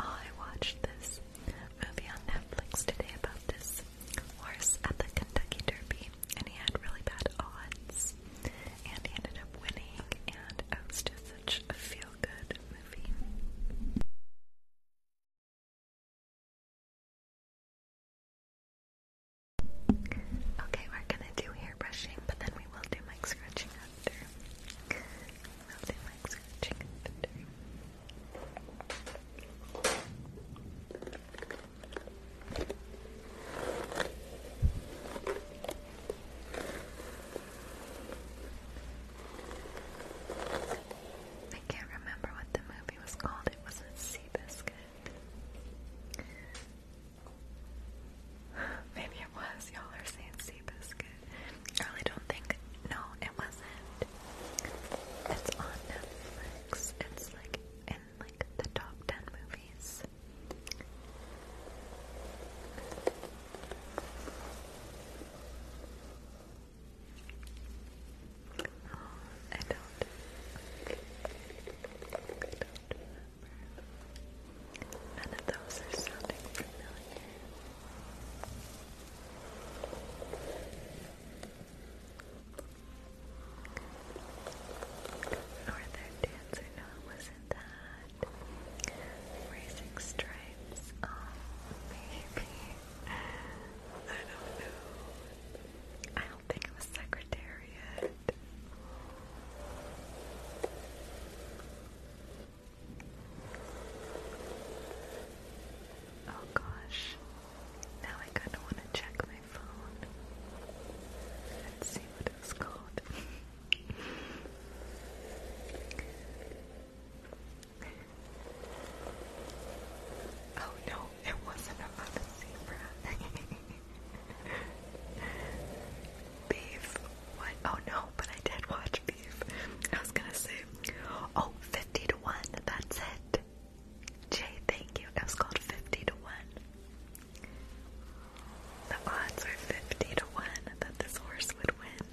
I watched this movie on Netflix today about this horse at the Kentucky Derby, and he had really bad odds, and he ended up winning, and it was just such a feel-good movie. Okay, we're gonna do hair brushing, but then we will do mic scratching after. I can't remember what the movie was called. It was not Seabiscuit. Maybe it was. Y'all are saying sea I really don't think. No, it wasn't. It's on Netflix. It's like in like the top ten movies. I don't. None of those are sounding familiar. Northern Dancer, no it wasn't that. Racing Stripes, oh maybe. I don't know. I don't think it was Secretariat. Oh gosh, now I kind of want to check my phone. Let's see what it's called. oh no, it wasn't a zebra. Beef. What? Oh no, but I did watch Beef. I was gonna say, oh, 50 to 1, that's it. Jay, thank you. It was called 50 to 1. The odds are 50 to 1 that this horse would win.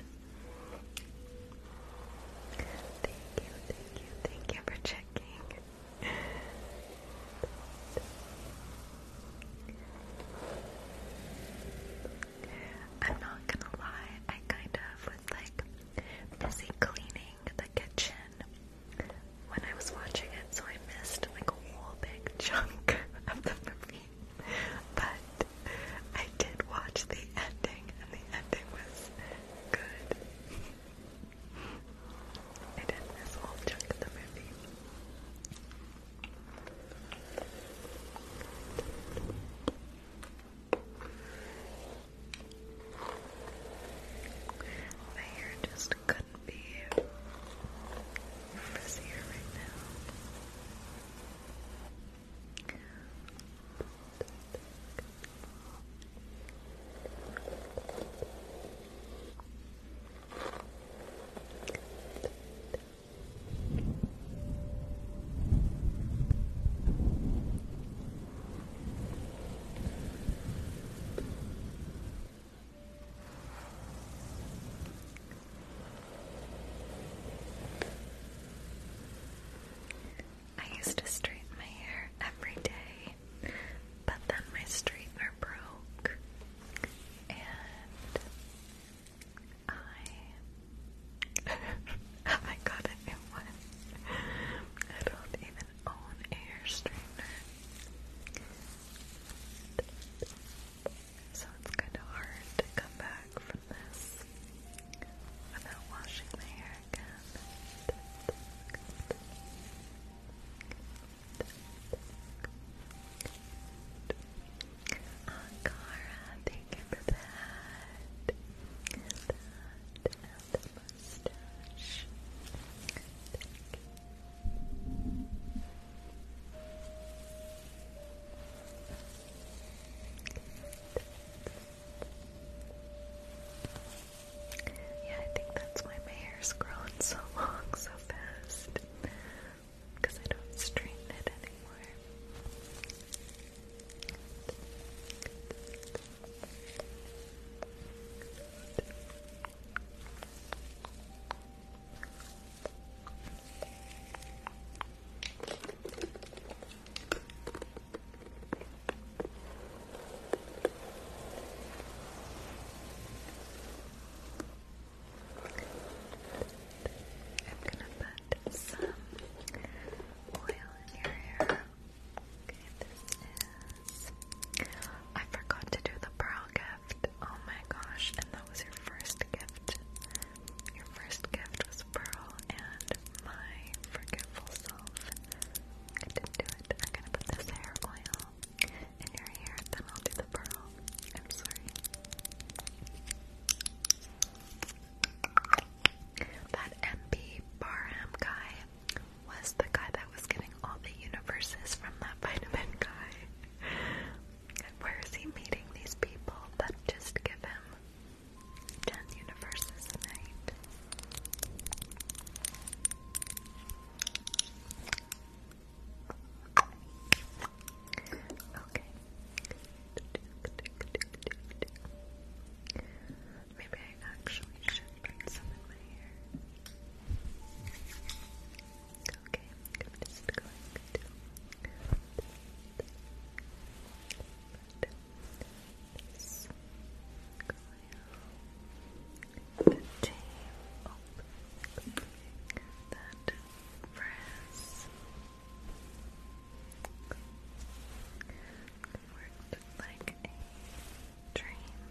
Thank you, thank you, thank you for checking. I'm not gonna lie, I kind of like busy cleaning the kitchen when I was watching it, so I missed like a whole big chunk of the movie. But I did watch the ending, and the ending was good. I did a whole chunk of the movie. My hair just couldn't be frizzier right now. I used to straighten my hair every day, but then my straightener broke, and I I got a new one. I don't even own a hair straightener. So it's kind of hard to come back from this without washing my hair again. Ankara, yeah, I think that's why my hair's grown so long so fast. Because I don't straighten it anymore. I'm gonna put some oil in your hair. Okay, this is. I forgot to do the pearl gift. Oh my gosh, and that was your first gift. Your first gift was pearl, and my forgetful self. I not do it. I'm gonna put this hair oil in your hair, then I'll do the pearl. I'm sorry. That MP Barham guy was the guy that was getting all the universes from that vitamin guy. where is he meeting these people that just give him 10 universes a night? Okay. Maybe I actually should put some in my hair. Okay, I'm just going to put this coil, the that frizz worked like a dream.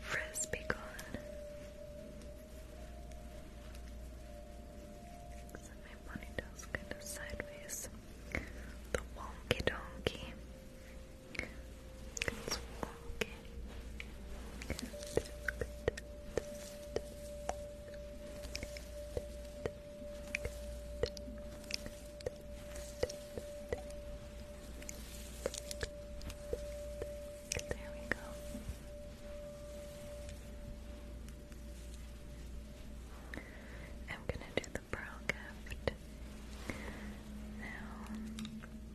Frisbee gone. So my ponytail's kind of sideways. The wonky donkey. It's walking. There we go. I'm going to do the brow gift now.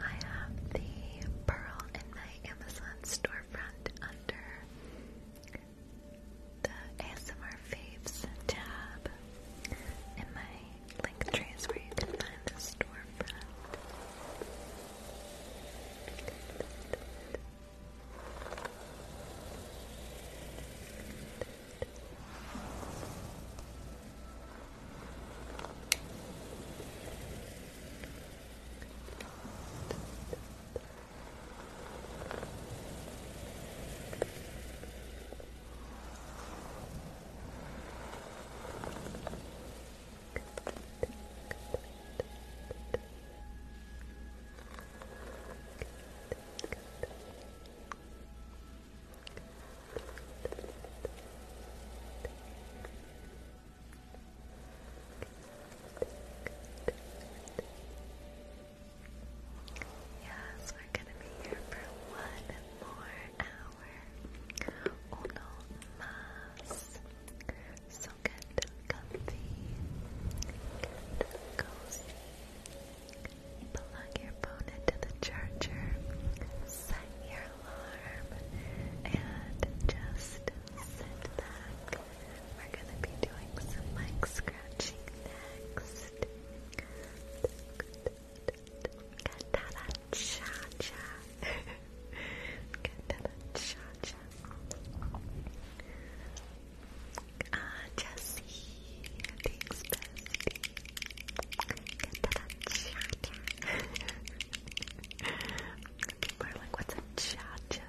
I have the pearl in my Amazon storefront under the ASMR Faves tab in my link trees where you can find the storefront. Yes, we're going to be here for one more hour, uno más. So get comfy, cozy, plug your phone into the charger, set your alarm, and just sit back. We're gonna be doing some mic scratching next. Katana cha cha. Katana cha cha. Ah, Jessie. Thanks, bestie. Katana cha cha. People are like, what's a cha cha?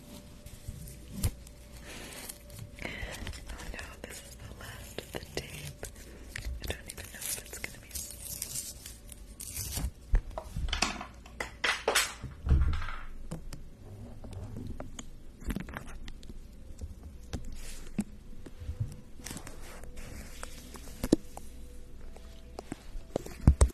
Oh no, this is the last of the tape. I don't even know if it's gonna be.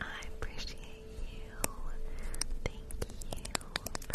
I appreciate you. Thank you.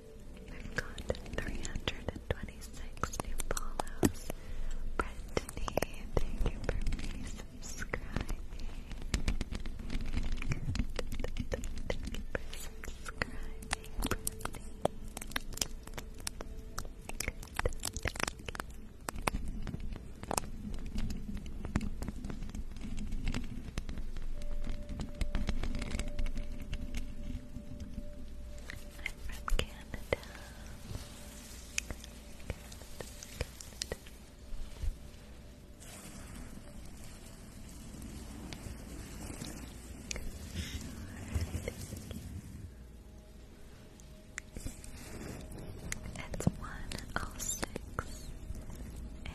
I've got 326 new follows. Brittany, thank you for resubscribing. Thank you for subscribing, Thank you from Canada. Canada, Canada. It's one oh six AM.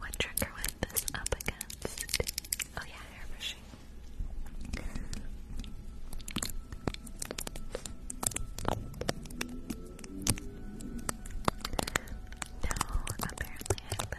What trigger was this up against? Oh yeah, airbrushing. No, apparently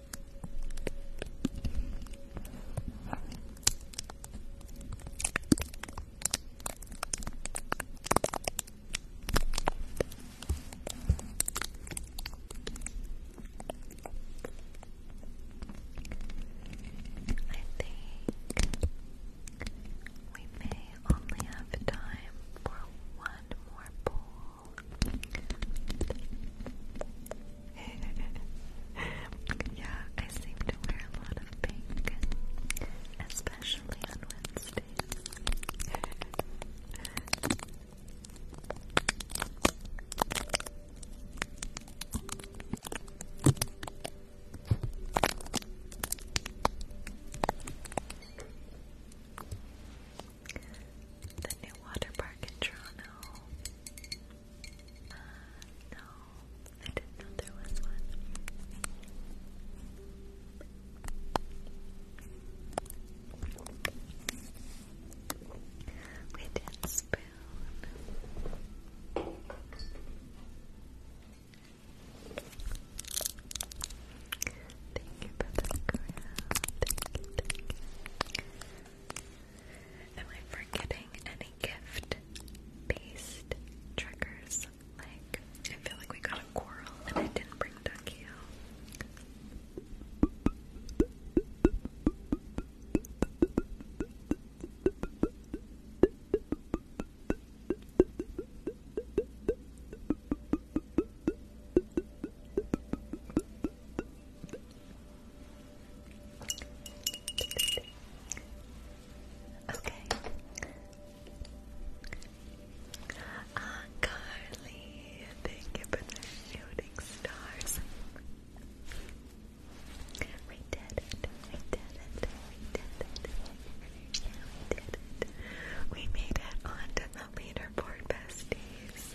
I think we may only have time for one more poll. yeah, I seem to wear a lot of pink, especially on Wednesdays. The new water park in Toronto. Uh, no, I didn't know there was one. We spoon. Thank you for the crowd. Am I forgetting any gift based triggers? Like, I feel like we got a coral and I didn't bring Ducky out. Okay. Ah, uh, Carly, thank you for the shooting stars. We did it. We did it. We did it. we did it. We made it onto the leaderboard, besties.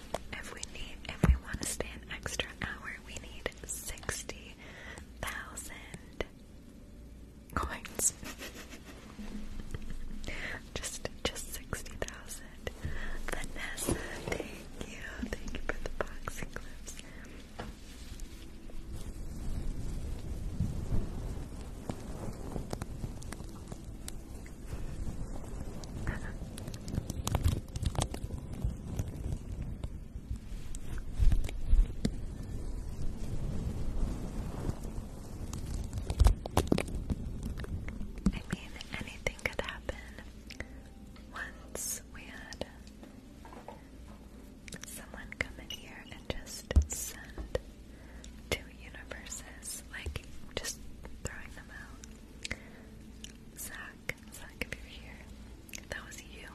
If we need, if we want to stay an extra hour, we need sixty thousand coins. just, just sixty thousand. Vanessa, thank you, thank you for the boxing clips. I mean, anything could happen. Once we had someone come in here and just send two universes, like just throwing them out. Zach, Zach, if you're here, that was you.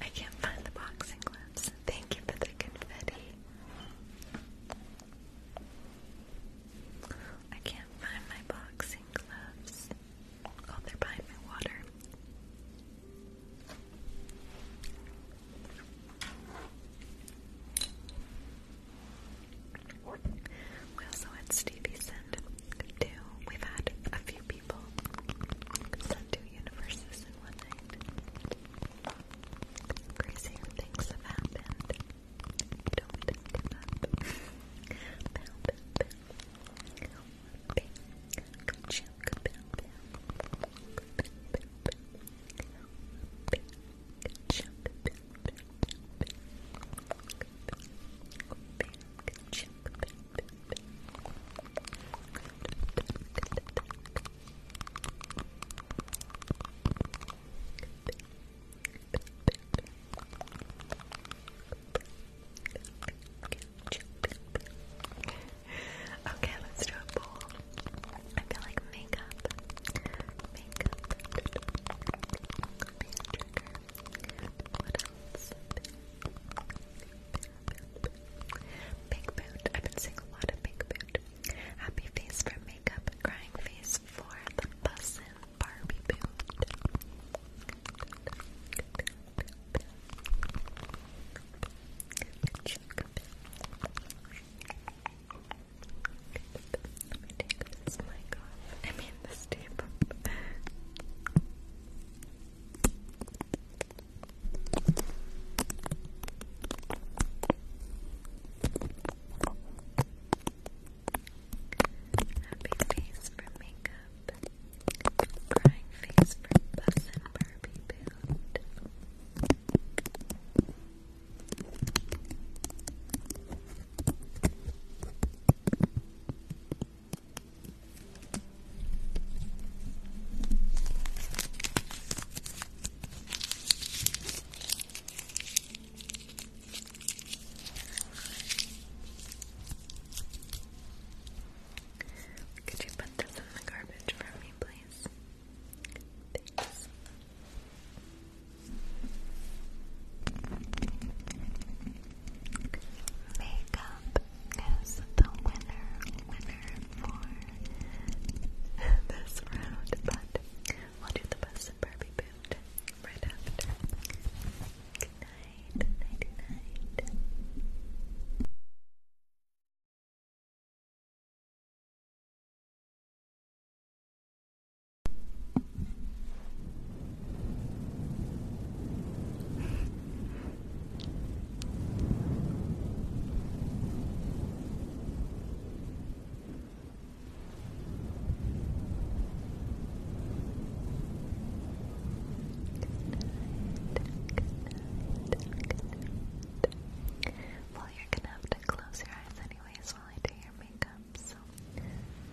I can't find the boxing gloves. Thank you for the confetti. I can't find my boxing gloves. Oh, they're behind my water. We also had Stevie send two. We've had a few people send two universes in one night. Crazier things have happened. Okay, let's do a bowl. I feel like Makeup. Big boot. I've been seeing a lot of big boot. Happy face for makeup. Crying face for the bus and Barbie boot. Let me take this mic off. I mean, this tape Happy face for makeup. Crying face for Bus and Barbie Boot. Could you put this in the garbage for me, please? Thanks. Makeup is the winner, winner for this round, but we'll do the best of Barbie boot right after. Good night, night, night. Well, you're gonna have to close your eyes anyways while I do your makeup, so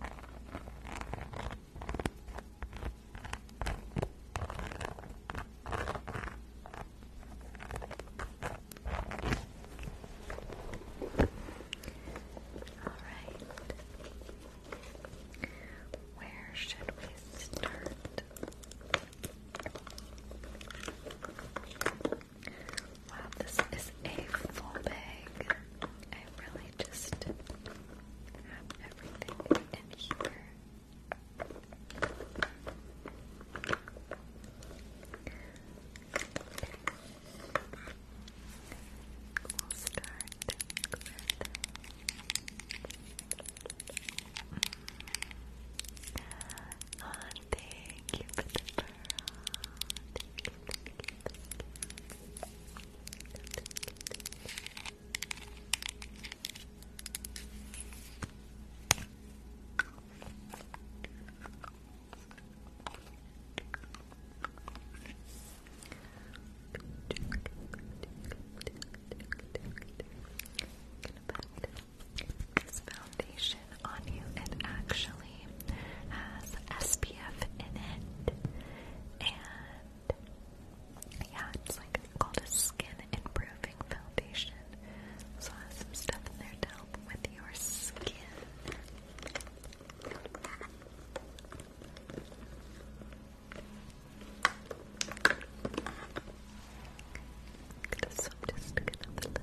All right. Where should we start? Wow, this is a full bag. I really just have everything in here. We'll start with... Oh, thank you for the burrow. thank you this foundation on you. It actually has SPF PDF in it. And yeah, it's like called a skin improving foundation. So I have some stuff in there to help with your skin. So I'm just gonna blend it out.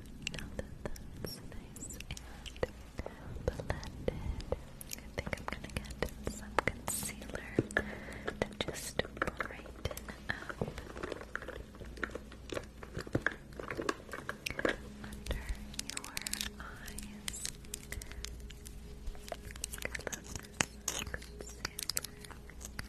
Now that that's nice and blended, I think I'm gonna get some concealer to just brighten up under your eyes. I love concealer.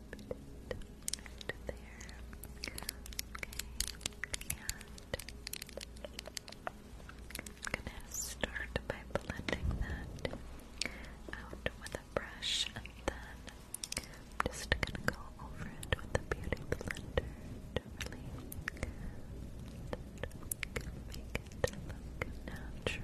there. Okay. I'm gonna start by blending that out with a brush and then I'm just gonna go over it with the beauty blender to really make it look natural.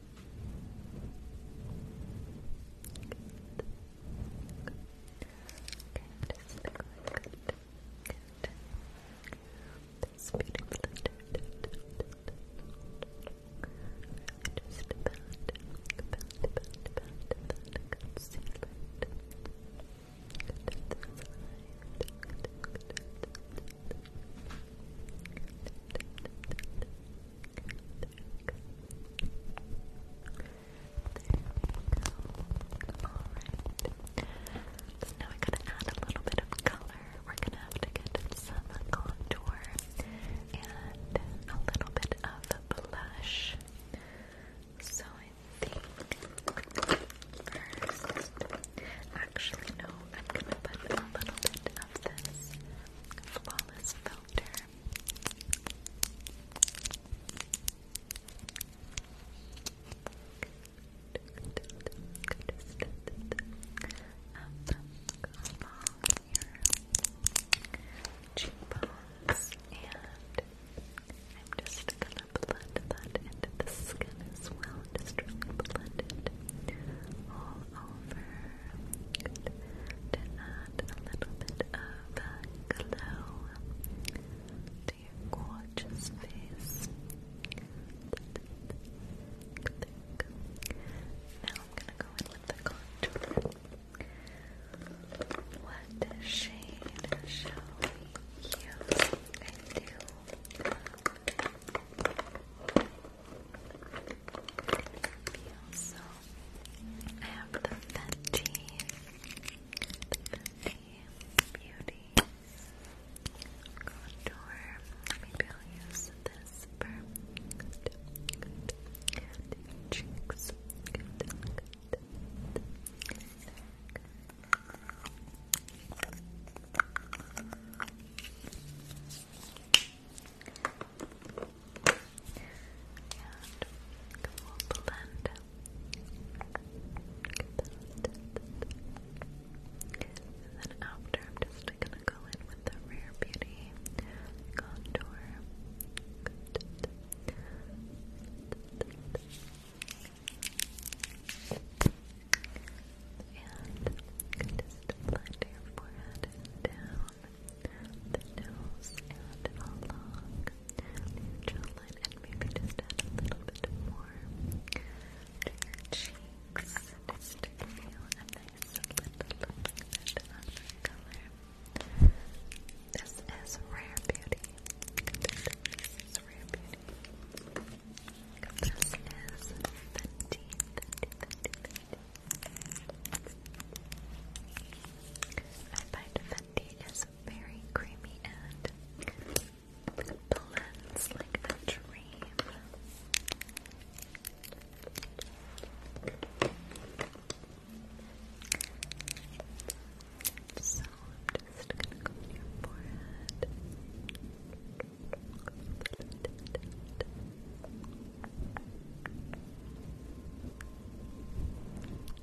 This beautiful just about, Alright. So we're going to add a little bit of color. We're going to have to get some contour and a little bit of blush. So I think actually no, I'm going to put a little bit of this flawless filter up along your cheekbones, and I'm just gonna blend that into the skin as well. Just really blend it all over Good. add a little bit of glow to your gorgeous face. Now I'm gonna go in with the contour. What shade shall we use? I do you. I have the Fenty, Beauty contour. Maybe I'll use this for cheeks we'll blend. And then after, I'm just gonna go in with the Rare Beauty contour. And just blend your forehead down down the nose and along jawline and maybe just add a little bit more to your cheeks just to give you a little bit of color. This is Rare Beauty. This is Rare Beauty. This is Fenty, I find Fenty is very creamy and blends like a dream. So I'm just gonna go on your forehead.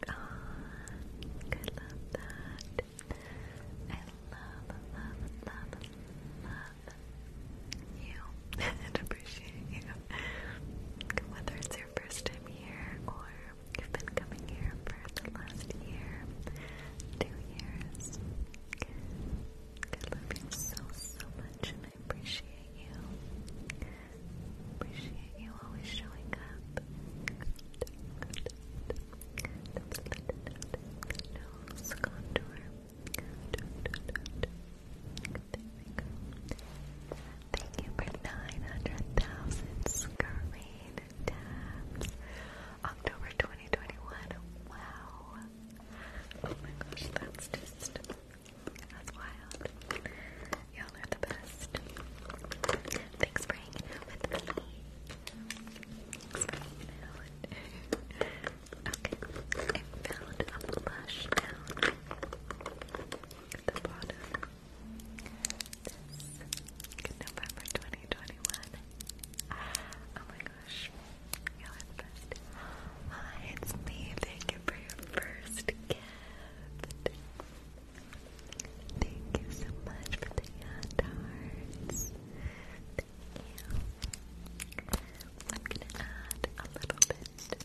God, I love that. I love, love, love, love you and appreciate you. Whether it's your first time here or you've been coming here for the last year, two years, I love you so, so much and I appreciate you. Appreciate you always showing up. Good, contour. Thank you for 900,000 screen tabs. October 2021. Wow. Oh my gosh, that's just that's wild. Y'all are the best. Thanks for with me. okay, I found a blush down at the bottom. November 2021. Oh my gosh. Y'all are the best. it's me. Thank you for your first gift. Thank you so much for the hand hearts. Thank you. I'm gonna add a little bit of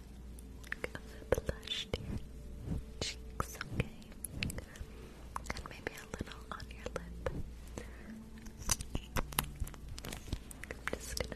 the blush to your cheeks, okay? And maybe a little on your lip. I'm just gonna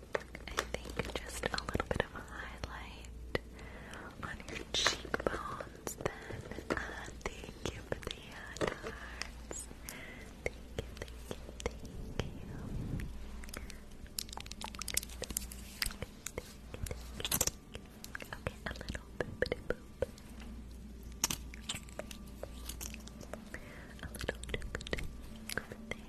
I think just a little bit of a highlight on your cheekbones then. Uh, thank you the hand uh, hearts. Thank you, thank you, thank you. Okay, a little boopity boop. A little tick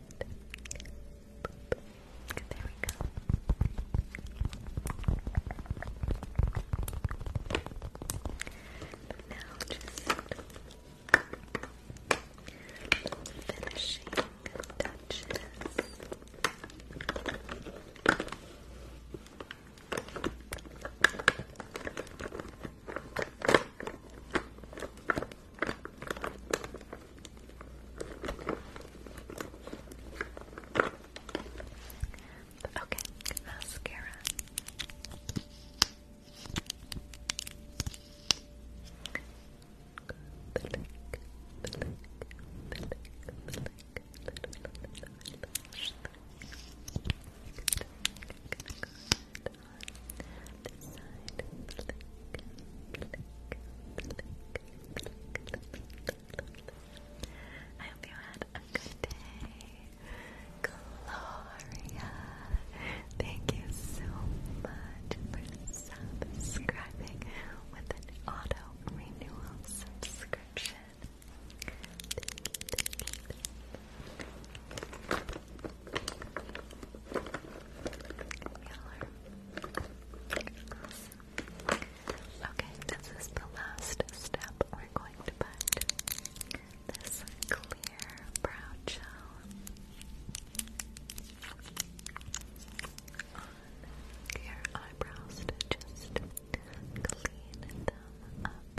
There we Now just finishing touches. Okay, mascara. I hope you had a good day. Gloria, thank you so much for subscribing with an auto renewal subscription. Okay, this is the last step. We're going to put this clear brow gel on your eyebrows to just clean them up.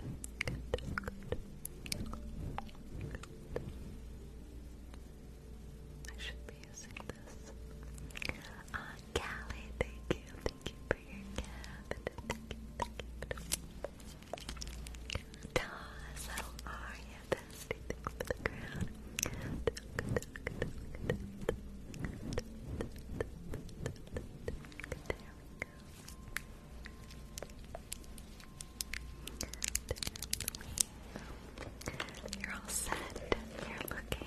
I should be using this. Uh, Callie, thank you. Thank you for your gift. Thank you, thank you. Toss, are you, bestie? Thanks for the crown. There we go. You're all set. You're looking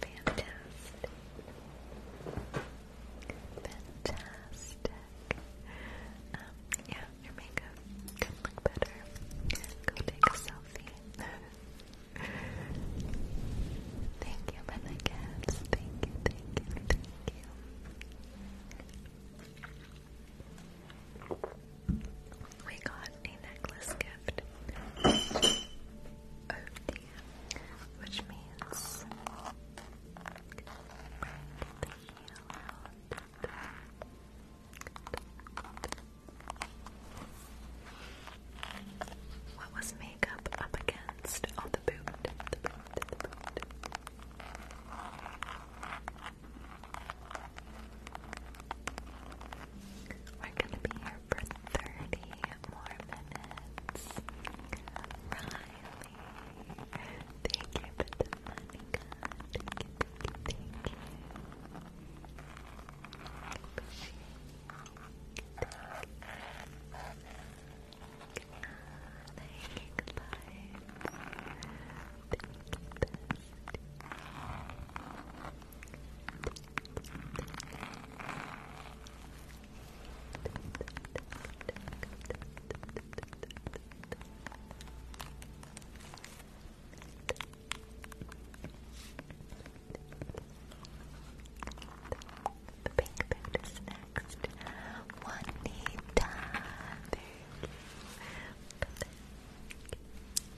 fantastic. Fantastic. Um, yeah, your makeup can look better. Go take a selfie. thank you for the gifts. Thank you, thank you, thank you. We got a necklace gift. Oh dear. Which means what was makeup up against? Oh, the boot. We're gonna be here for 30 more minutes. Riley, thank you for the money, Thank you, thank you, thank you. Thank you, the pink food is next. Juanita, thank you. Thank you.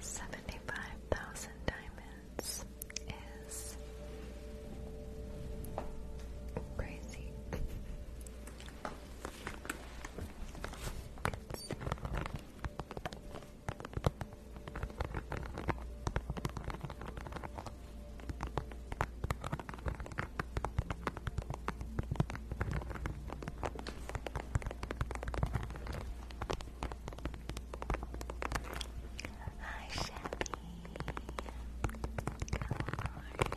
Seventy-five thousand diamonds is crazy. Hi, Shelly. How are you? Good, good,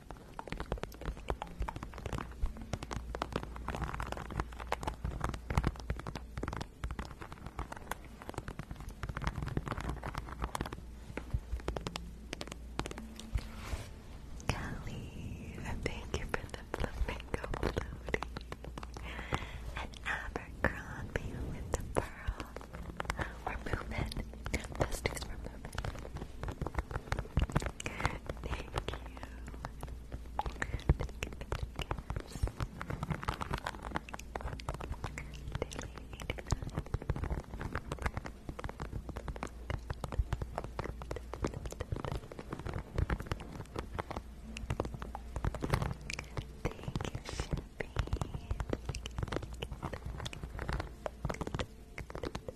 Kelly, thank you for the flamingo floating. And Abercrombie with the pearl. We're moving. Besties, we're moving. Thank you. Thank you, Shippy.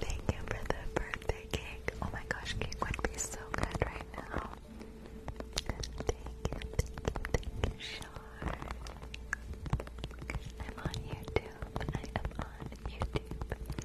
thank you for the birthday cake. Oh my gosh, cake would be so good right now. I'm on YouTube. I am on YouTube.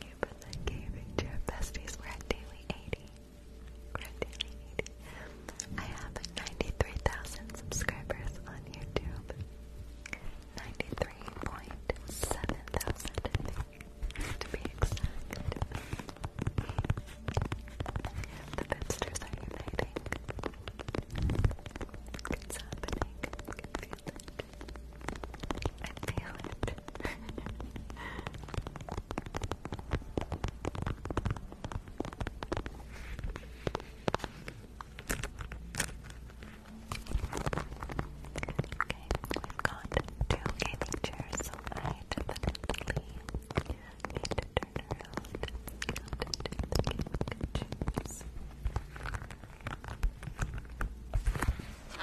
thank you for the K Ranger besties. we daily 80. we daily 80. I have 93,000 subscribers on YouTube. 93.7 thousand, to be exact. The Bipsters are uniting. It's happening. I can I feel it. okay, we've got two gaming chairs, so need to turn around and do the gaming chairs.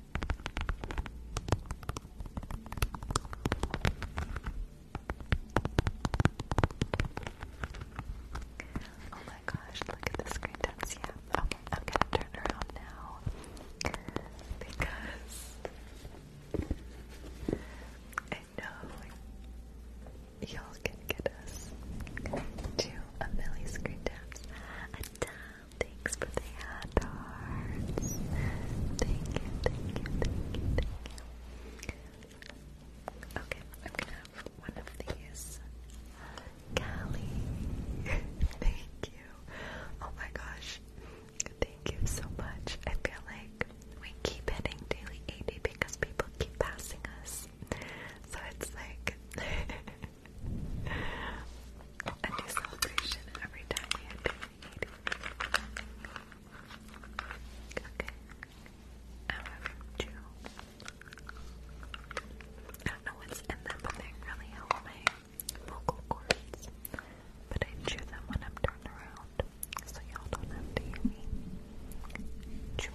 Oh my gosh, look at the screen yeah. Okay, i turn around now because I know y'all can get us to a million screen a time. Thanks for the hand hearts. thank you, thank you, thank you. Okay, I'm gonna have one of these. Callie, thank you. Oh my gosh, thank you so much. I feel like we keep hitting daily 80 because people keep passing us. So it's like A new celebration every time we had Okay. I'm having two. I am having i do not know what's in them, but they really help my vocal cords. But I chew them when I'm turned around, so y'all don't have to hear me. Chew.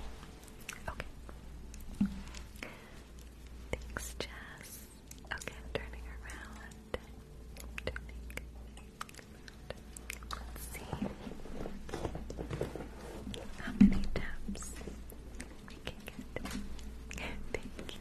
Okay. Thanks, Jess. Okay, turning around. Turning around. Let's see how many taps we can get. Thank you.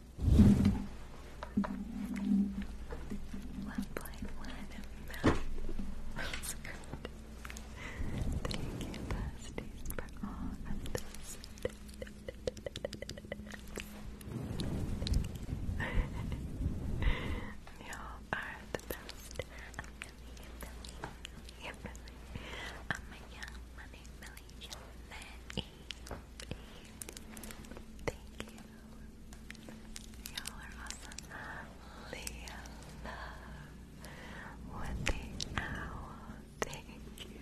mouse. That's good. Thank you, Pasties, for all of this. you are the best. I'm Billy, Billy, Billy, I'm a young money millionaire. Thank you. Y'all are awesome. Leah Love the owl. Thank you.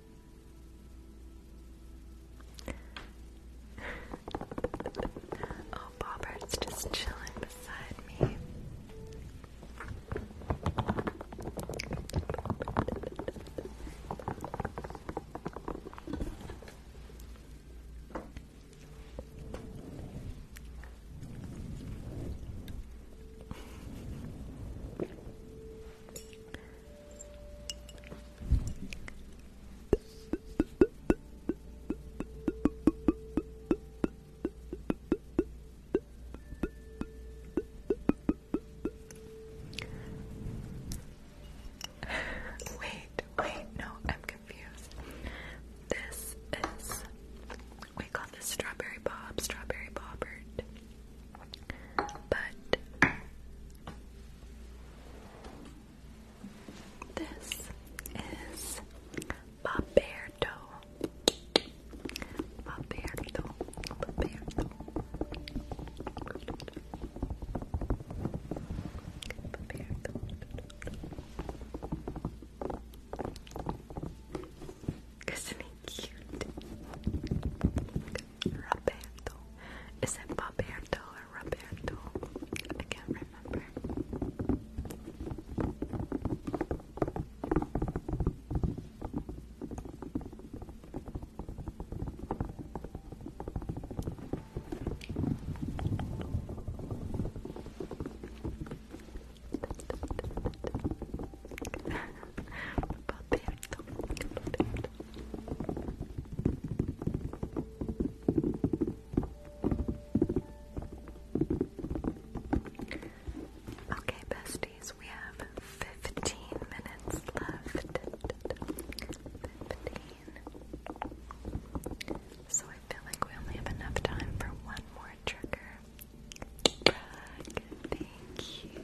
oh, Bobbert's just chilling beside me wait, wait, no, I'm confused. This is we call this strawberry bob, strawberry bobbert. But this is Baberto. Baberto. Isn't he cute? Roberto. Is it Roberto or Roberto? I can't remember. Roberto, Okay, besties, we have 15 minutes left. So I feel like we only have enough time for one more trigger. thank you.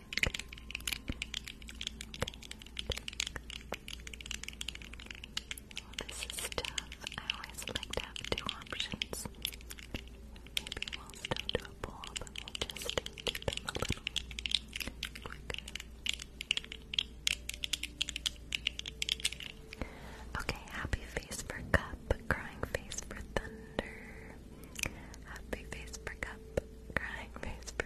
this is tough. I always like to have two options. Maybe we'll still do a poll, but we'll just do them a little quicker. Okay, happy face for cup, crying face for thunder. Happy face for cup, crying face for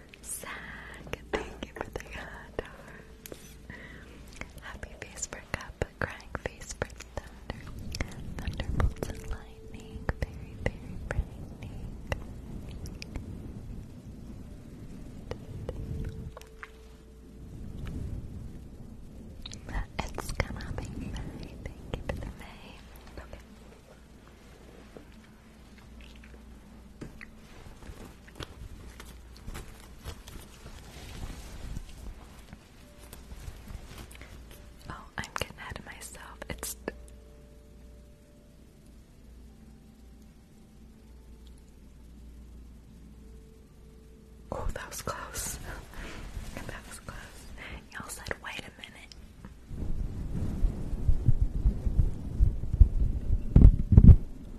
Zach, thank you for the hot Happy face for cup, crying face for thunder. Thunderbolts and lightning, very, very brightening. It's coming, May. Thank you for the May. Oh, I'm getting ahead of myself. It's Oh, that was close. that was close. Y'all said, wait a minute.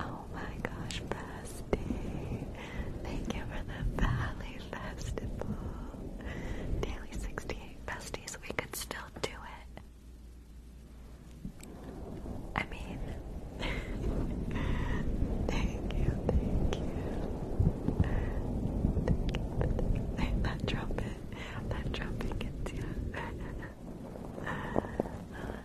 oh my gosh, Bestie. Thank you for the Valley Festival. Daily 68 besties, we could still do it. I mean, thank you, thank you. Thank you that trumpet, that trumpet gets you.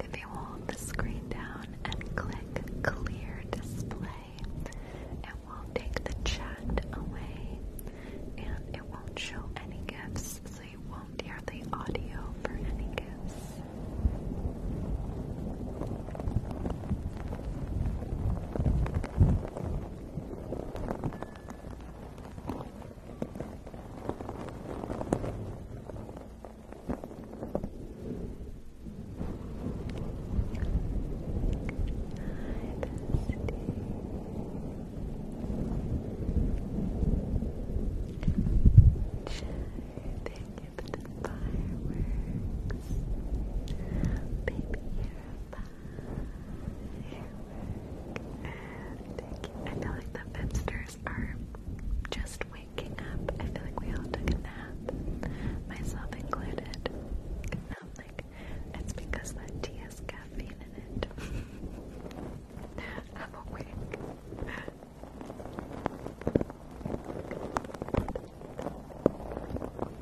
If you hold the screen down and click clear display, it will take the chat away and it won't show any gifts, so you won't hear the audio for any gifts. Thank you for the fireworks. Baby, you're Thank you. I feel like the Fipsters are just waking up. I feel like we all took a nap, myself included. I'm um, like, it's because that tea has caffeine in it. I'm awake.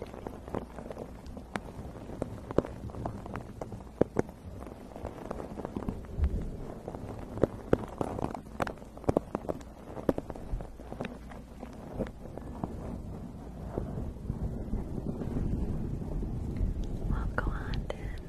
Well, go on then. Good.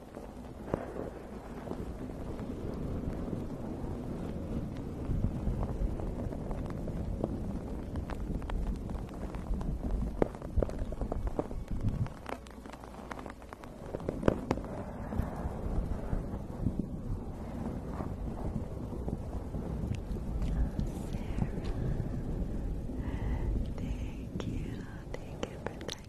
Sarah, thank you, thank you for that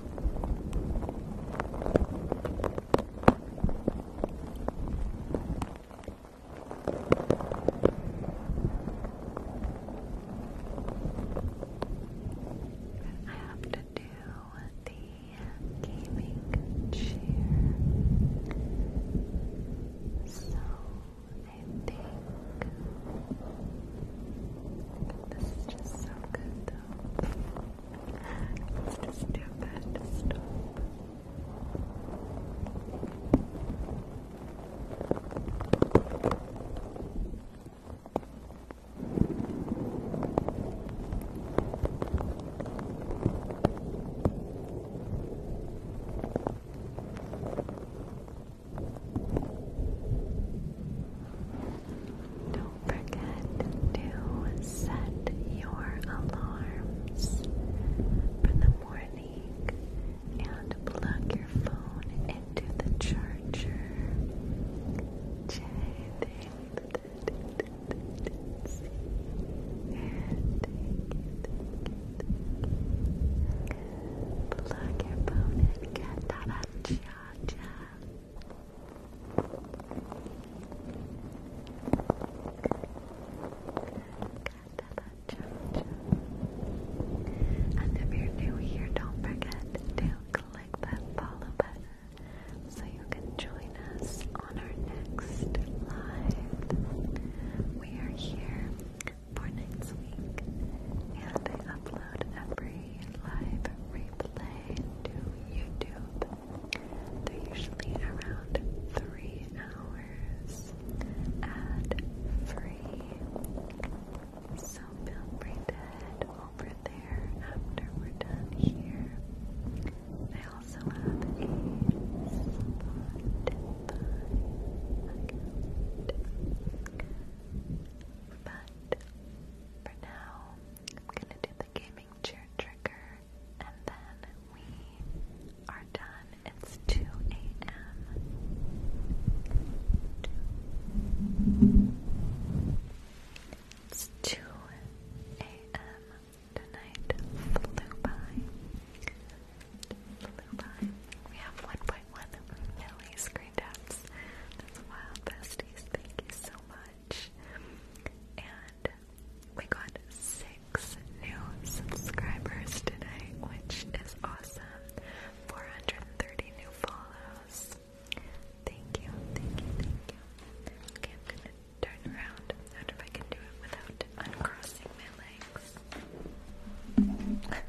I have to do the gaming chair. So I just so good go. just do stop. Don't forget to set your alarms for the morning and plug your phone into the charger. charger. And if you're new here, don't forget to click that follow button so you can join us on our next live. We are here for next week, and I upload upload every live replay to YouTube. They're usually around three hours ad free. So feel free to head over there after we're done here. I also have a Spotify account. But for now, I'm to the gaming chair trigger, and then we are done. It's 2 a.m. It's 2 a.m. Tonight flew by. Flew by. We have 1.1 million screen taps. That's wild besties. Thank you so much. And we got six new subscribers today, which is awesome. 430 new follows. Thank you, thank you, thank you. I'm gonna turn around. I wonder if I can do it without uncrossing my legs.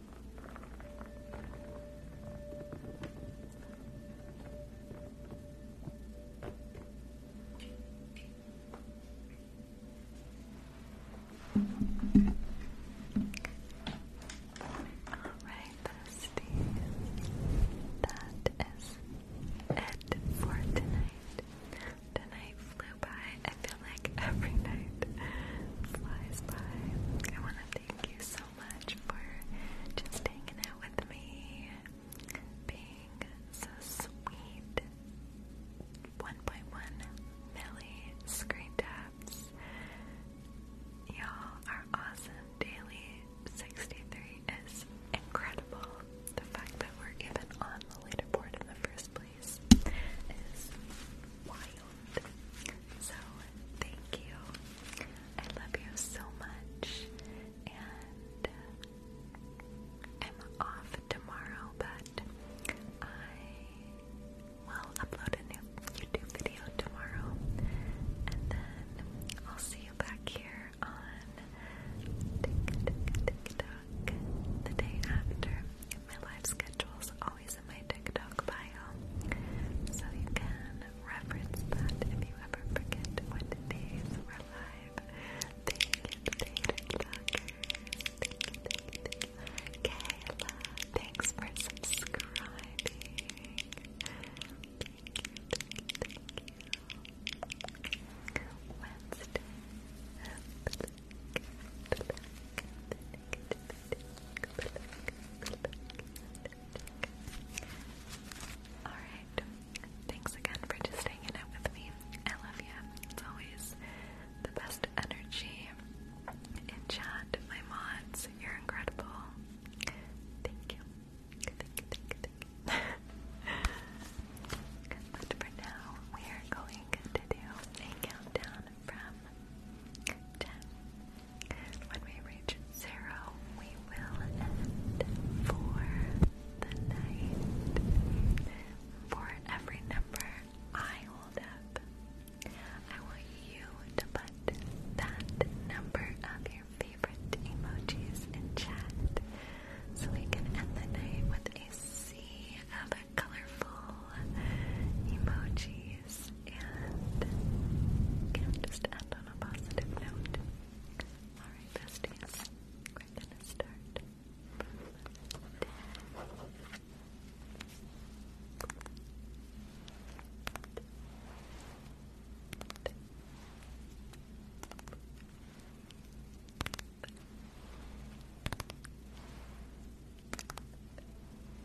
Alright, besties. That is it for tonight. Tonight flew by. I feel like every night flies by. I want to Thank you so much for just hanging out with me, being so sweet. 1.1 milli screen taps. Y'all are awesome. Daily 63 is incredible. The fact that we're even on the leaderboard in the first place is wild. So, thank you. I love you so much. And uh, I'm off tomorrow, but I will upload a new YouTube video tomorrow. And then I'll see you back here on TikTok, the day after. My life schedule's always in my TikTok bio, so you can reference that if you ever forget what days were live. Thank thanks for subscribing. Wednesday. Alright. Thanks again for just hanging out with me. I love you. It's always the best energy in My mods, you're incredible. Thank you. thank you. but for now, we are going to do a countdown from 10 when we reach zero, we will end for the night. For every number I hold up, I want you to put that number of your favorite emojis in chat so we can end the night with a sea of colorful emojis guys, and can just end on a positive note. Alright, besties, we're gonna start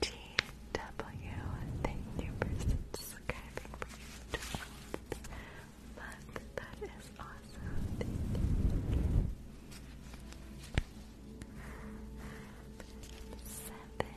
T W, thank you for subscribing for YouTube. Look, that is awesome. Seven.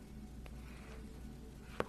four, two, Three.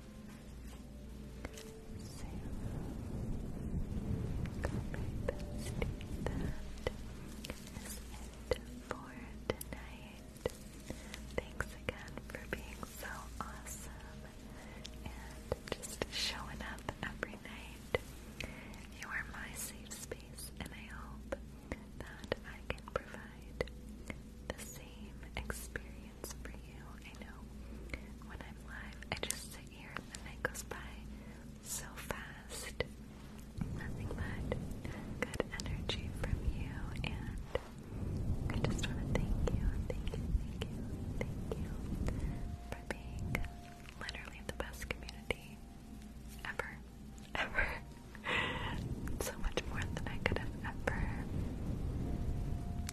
it for tonight. Thanks again for being so awesome and just showing up every night. You are my safe space, and I hope that I can provide the same experience for you. I know when I'm live, I just sit here and the night goes by so fast. Nothing but good energy from you, and I just want to thank you, thank you, thank you, thank you for being literally the best community ever, ever. so much more than I could have ever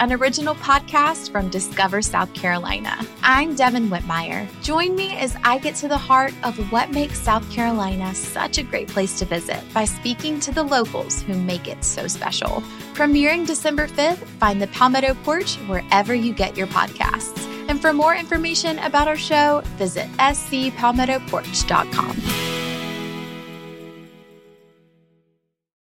an original podcast from Discover South Carolina. I'm Devin Whitmire. Join me as I get to the heart of what makes South Carolina such a great place to visit by speaking to the locals who make it so special. Premiering December 5th, find the Palmetto Porch wherever you get your podcasts. And for more information about our show, visit scpalmettoporch.com.